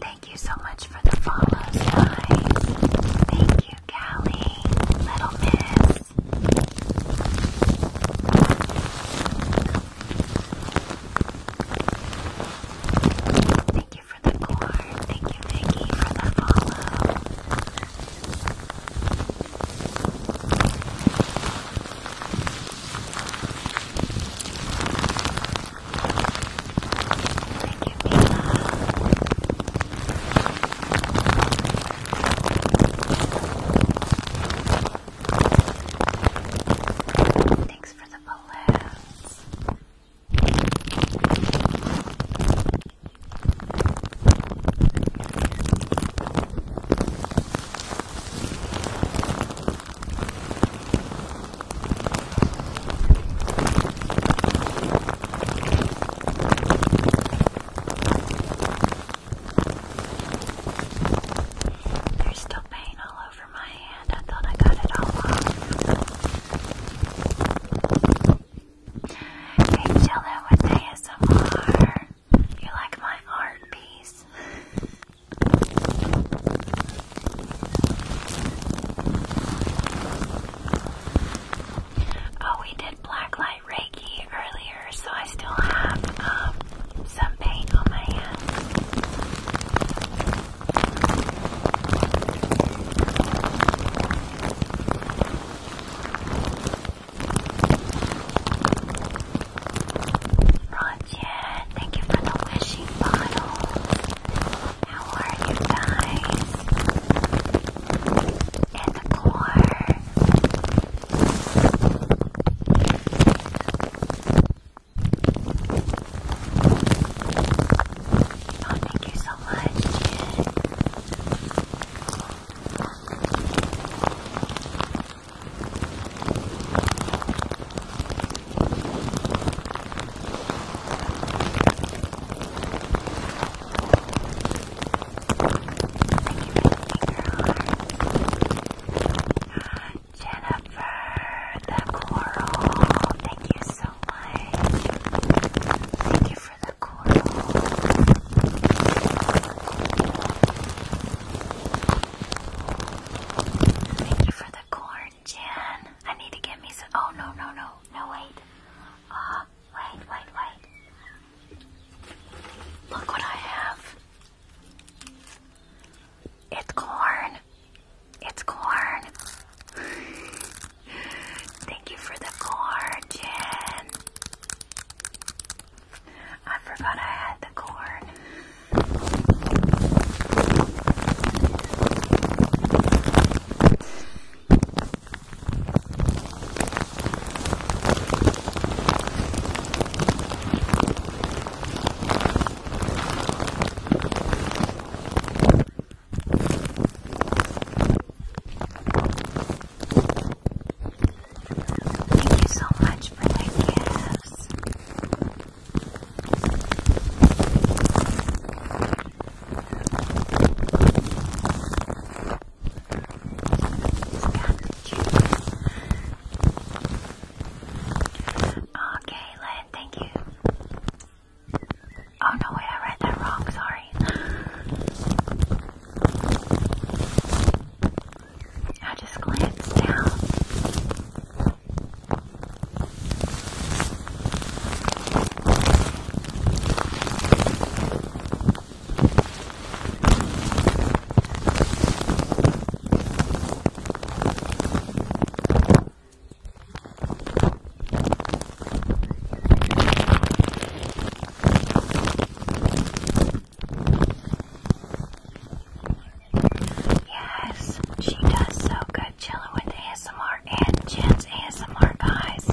Thank you so much for the follows, guys. Thank you, Callie, Little Miss. Thank you for the core. Thank you, Vicky, for the follow. Thank you, Mila. Thanks for the balloons. There's still paint all over my hand. I thought I got it all off. Hey, Jello with ASMR. You like my art piece? oh, we did black light Reiki earlier so I still have um, some paint on my hands. Roger, thank you for the wishing bottle. How are you guys? And the core. Oh, thank you so much. Thank you, baby Jennifer the coral. Thank you so much. Thank you for the coral. Thank you for the corn, Jen. I need to get me some. Oh, no, no, no. No, wait. Uh, wait, wait, wait. Look what I have. It's corn. It's corn. Thank you for the corn, Jen. I forgot I had the corn. Thank you so much for your gifts. of cute. Okay, Len, thank you. Oh no, wait, I read that wrong, sorry. I just glanced down. Yes, she does so good chilling with ASMR and Jen's ASMR guys.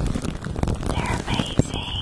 They're amazing.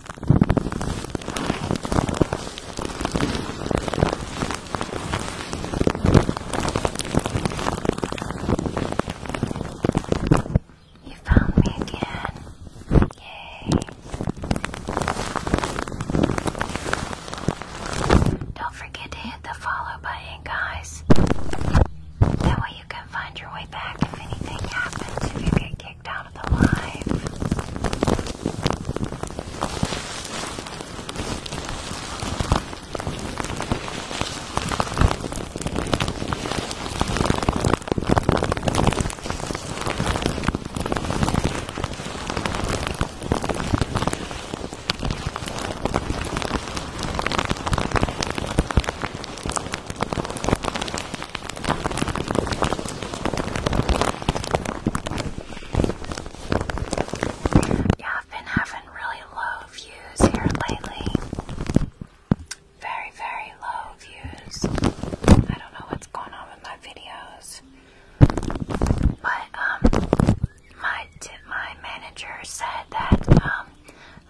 You found me again. Yay. Don't forget to hit the follow button, guys. That way you can find your way back if anything happens, if you get kicked down out the line. Yeah, I've been having really low views here lately. Very, very low views. I don't know what's going on with my videos. But um my my manager said that um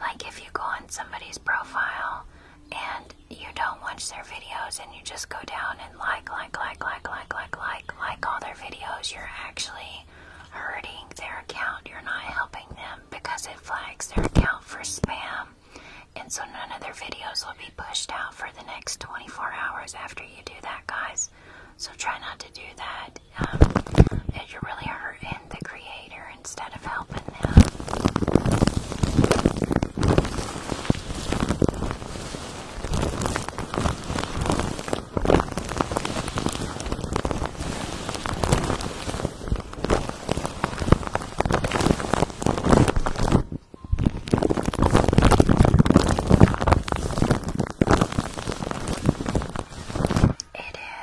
like if you go on somebody's profile and you don't watch their videos and you just go down and like, like, like, like, like, like, like, like all their videos, you're actually hurting their account. You're not helping them because it flags their account for spam. And so none of their videos will be pushed out for the next 24 hours after you do that, guys. So try not to do that. Um, you're really hurting the creator instead of helping them. It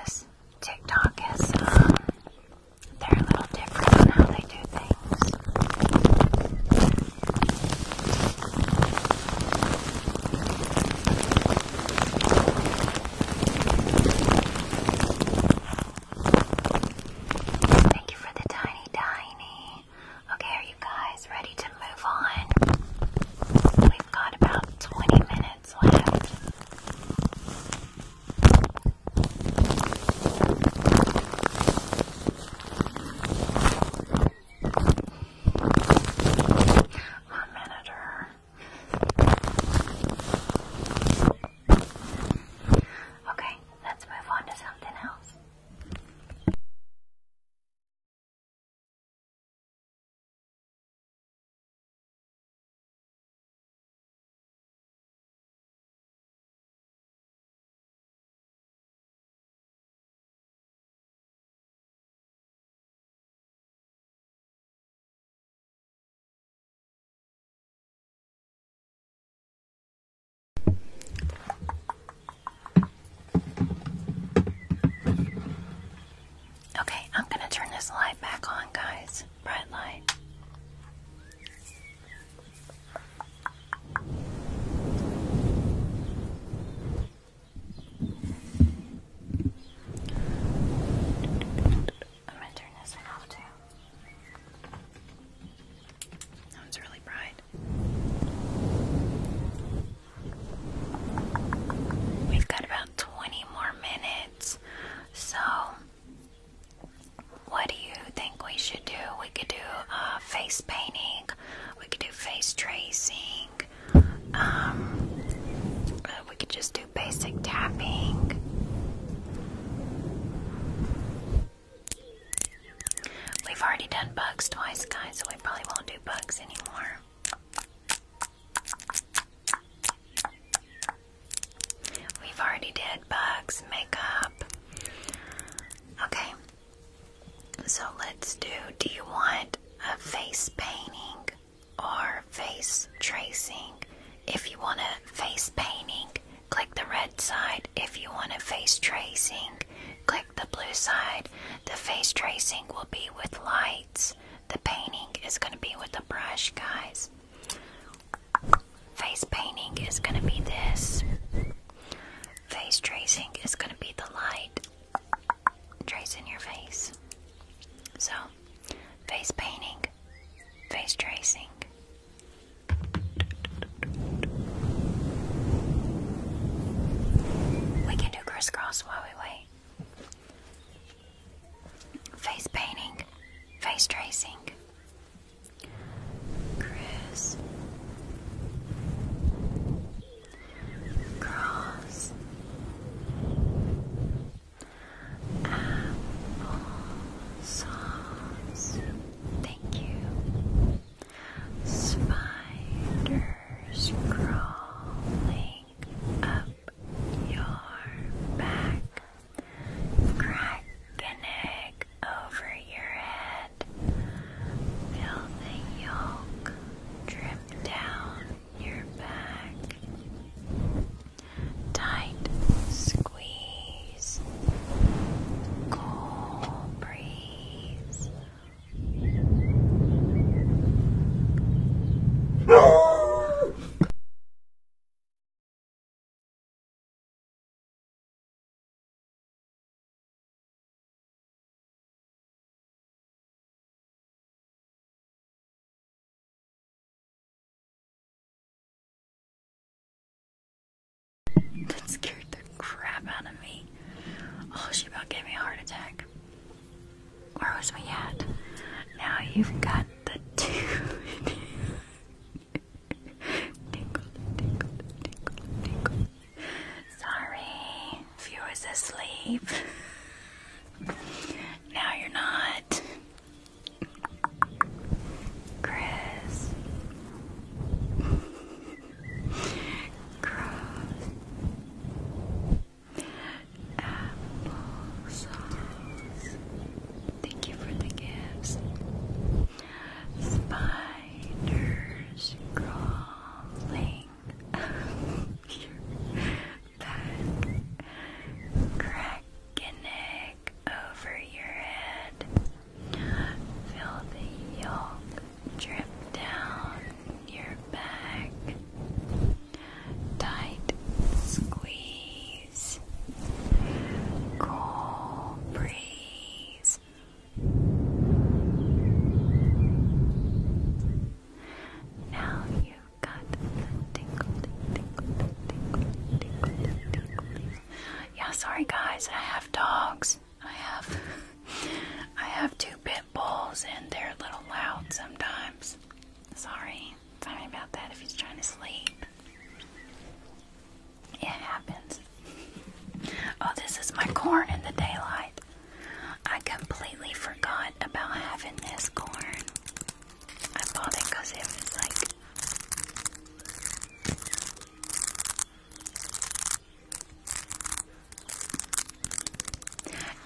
is. TikTok is um, they're a little different on how they do things. Thank you for the tiny, tiny. Okay, are you guys ready to move on? We've got about 20 minutes left. Our manager Okay, let's move on to something else. Okay, I'm going to turn this light back on, guys. Bright light. I'm going this one off too. That one's really bright. We've got about 20 more minutes, so what do you think we should do? We could do uh, face painting, we could do face tracing, um, uh, we could just do basic tapping. We've already done bugs twice, guys, so we probably won't do bugs anymore. We've already did bugs, makeup. Okay. So let's do do you want a face painting or face tracing? If you want a face painting, click the red side. If you want a face tracing, click the blue side. The face tracing will be with lights. The painting is going to be with the brush, guys. Face painting is gonna be this. Face tracing is gonna be the light tracing your face. So, face painting, face tracing. We can do crisscross while we wait. Face painting, face tracing, Chris Cross Apple Thank you Spiders crawling up your back Crack an egg over your head Feel the yolk drip down your back. Tight squeeze. Cool breeze. That scared the crap out of me. Oh, she about gave me a heart attack. Where was we at? Now you've got the dude. Sorry if you was asleep. now you're not. Chris. Cross. Apple sauce. Thank you for the gifts. Spy spiders crawling up your back, crack an over your head, feel the yolk drip down your back, tight squeeze, cool breeze now you've got the tingle, tingle, tingle, tingle, tingle, Yeah, sorry guys, I have dogs. I have, I have two pit bulls, and they're a little loud sometimes. Sorry, sorry about that. If he's trying to sleep. It happens. Oh, this is my corn in the daylight. I completely forgot about having this corn. I bought it because it was like.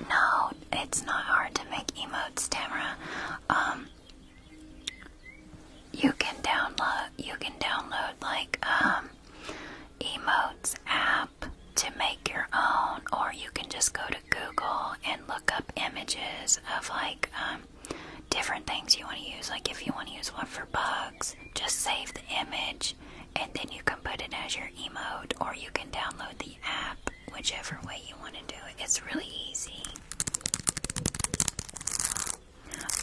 No, it's not hard to make emotes, Tamara. Um, you can download, you can download like um, emotes app to make your own, or you can just go to Google and look up images of like um, different things you want to use. Like if you want to use one for bugs, just save the image and then you can put it as your emote, or you can download the app, whichever way you want to do it. It's really easy.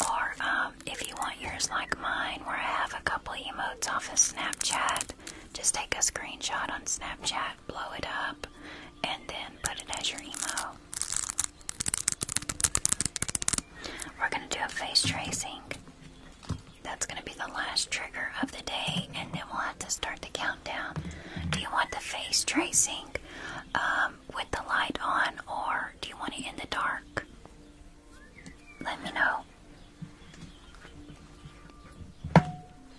Or um, if you want yours like mine, where I have a couple emotes off of Snapchat, just take a screenshot on Snapchat, blow it up, and then put it as your emo. We're gonna do a face tracing. That's gonna be the last trigger of the day, and then we'll have to start the countdown. Do you want the face tracing um, with the light on, or do you want it in the dark? let me know.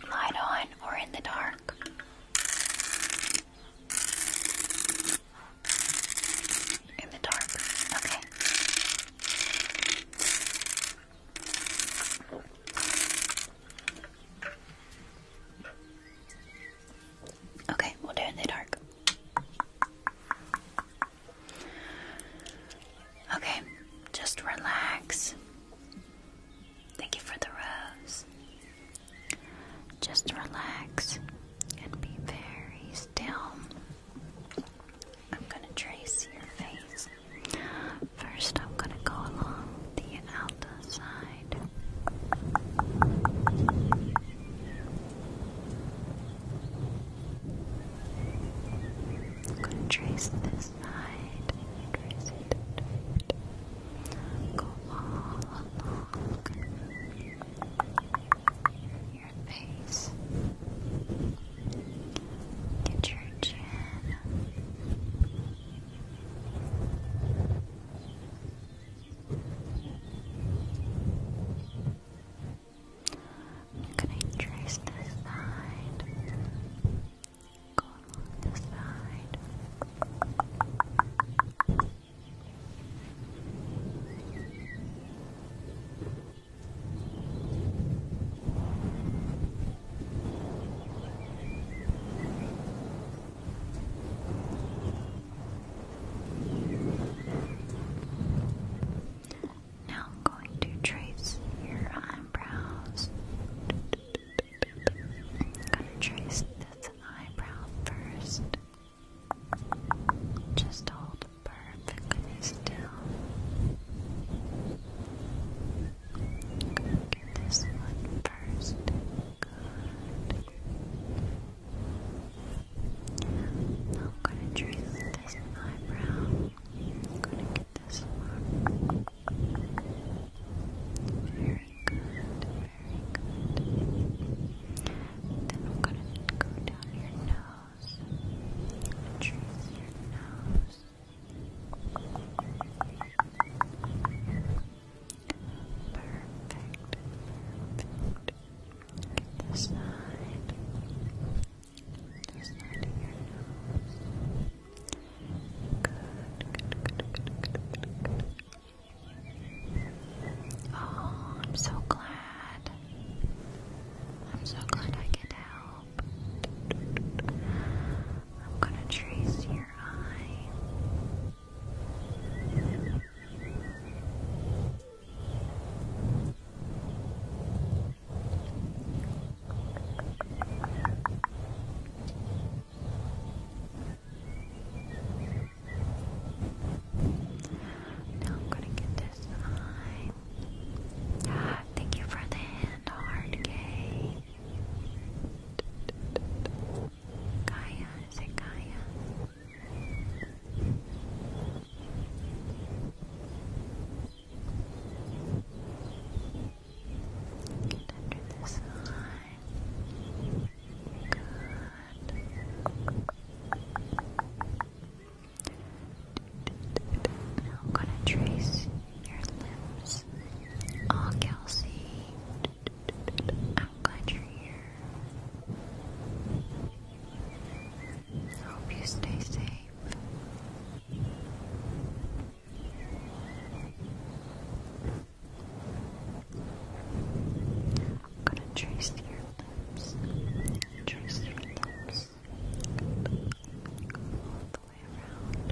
Light on or in the dark. In the dark. Okay. Okay, we'll do in the dark. Okay, just relax. Thank you for the rose. Just relax and be very still. I'm going to trace your face. First, I'm going to go along the outer side. I'm gonna trace this side trace it. Go all along your face. Get your chin. I'm gonna trace this side. Go along this side. Now I'm going to trace your eyebrows. going to trace this eyebrow first. Just hold perfectly still. Get this one first. Good. Now I'm gonna trace this eyebrow. gonna get this one. Very good, very good. Then I'm gonna go down your nose. Trace your nose. Perfect. Perfect. This side. This side of your nose. Good, good, good, good, good, good. Oh, I'm so glad. I'm so glad I could help. I'm gonna trace your eye. Now I'm gonna get this thank you for the hand hard K. Kaya, is it Get under this eye. Good. I'm gonna trace your lips. Oh, Kelsey. I'm glad you're here. I Hope you stay safe. I'm gonna trace your lips. Trace your lips. all the way around.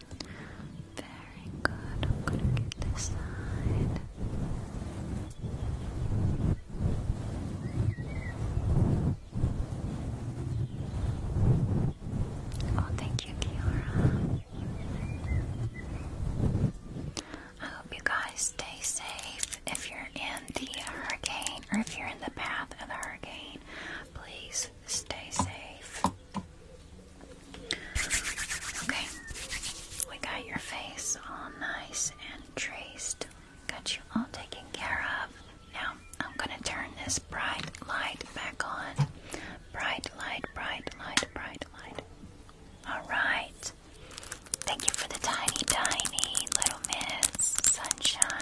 Very good. I'm gonna get this side. Oh, thank you, Kiara. I hope you guys stay safe. If you're in the hurricane or if you're in the path of the hurricane, please Stay safe. Okay, we got your face all nice and traced. Got you all taken care of. Now, I'm gonna turn this bright light back on. Bright light, bright light, bright light. Alright. Thank you for the tiny, tiny little miss sunshine.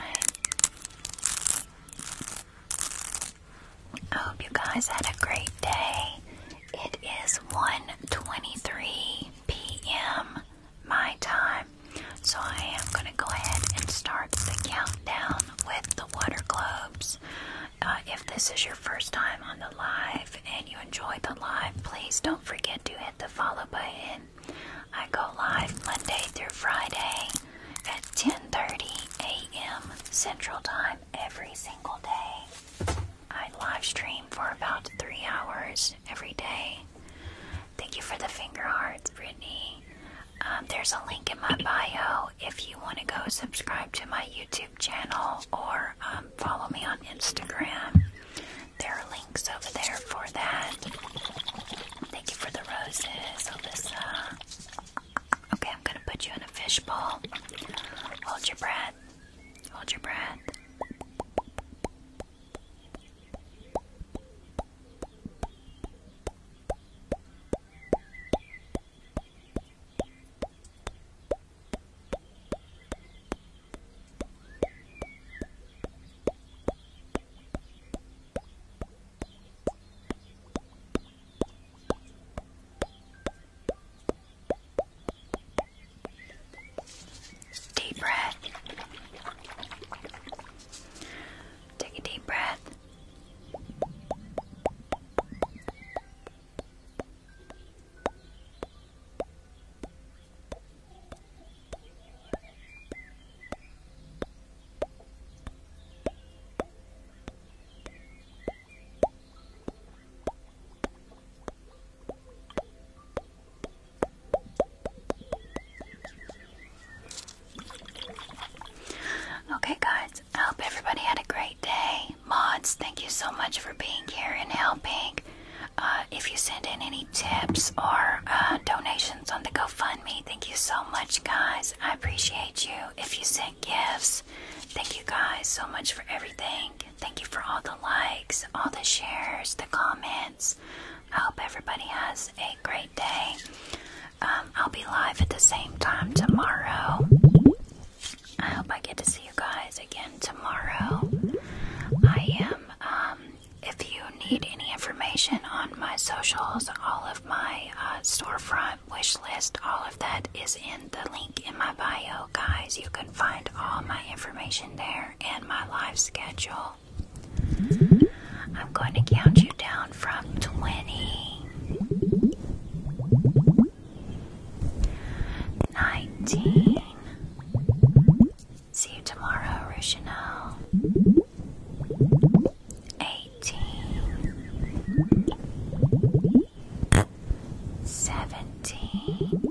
I hope you guys had a great day. It is 1:23 p.m. my time. So I am going to go ahead and start the countdown with the water globes. Uh, if this is your first time on the live and you enjoyed the live, please don't forget to hit the follow button. I go live Monday through Friday at 10:30 a.m. Central Time every single day. I live stream for about three hours every day. Thank you for the finger hearts, Brittany. Um, there's a link in my bio if you want to go subscribe to my YouTube channel or um, follow me on Instagram. There are links over there for that. Thank you for the roses, Alyssa. Okay, I'm gonna put you in a fishbowl. Hold your breath. Hold your breath. Deep breath. Take a deep breath. Okay, guys, I hope everybody had a great day. Mods, thank you so much for being here and helping. Uh, if you send in any tips or uh, donations on the GoFundMe, thank you so much, guys. I appreciate you. If you send gifts. Thank you guys so much for everything. Thank you for all the likes, all the shares, the comments. I hope everybody has a great day. Um, I'll be live at the same time tomorrow. I hope I get to see you guys again tomorrow. I am, um, if you need any information on my socials, all of my uh, storefront my wish list, all of that is in the link in my bio, guys. You can find all my information there and my live schedule. I'm going to count you down from 20, See you tomorrow, Rushino eighteen, seventeen,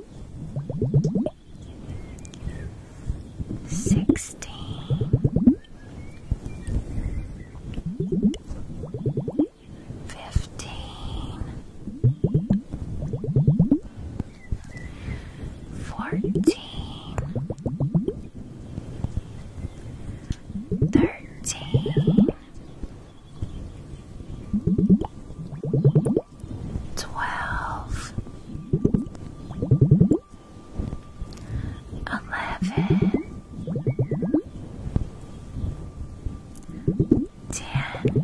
sixteen, fifteen, fourteen, thirteen twelve, eleven, ten,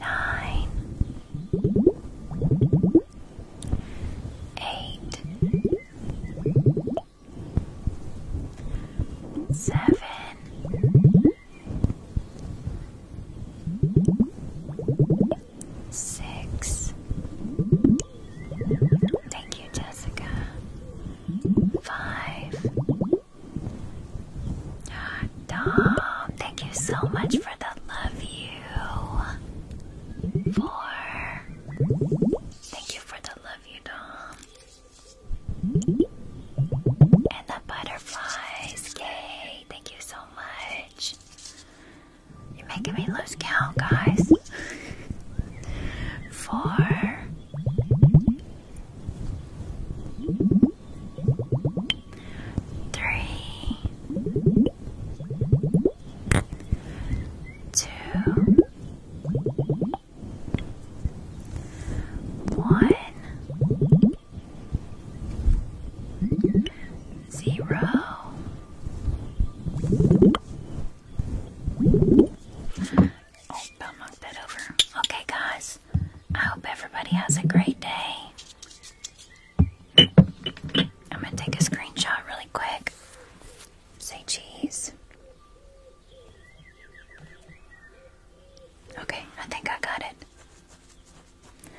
nine eight, seven, six. Thank you, Jessica. Five. Ah, Dom, thank you so much for the love you. Four. Thank you for the love, you Dom. And the butterflies. Yay. Thank you so much. You're making me lose count, guys. Four. Three two, one, zero. Oh, I'll that over. Okay, guys, I hope everybody has a great day. I'm gonna take a screenshot really quick. Say cheese. Okay, I think I got it.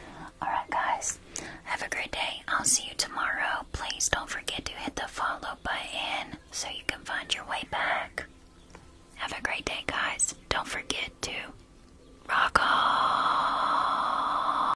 Alright, guys, have a great day. I'll see you tomorrow. Please don't forget to hit the follow button so you can find your way back. Have a great day, guys. Don't forget to rock on.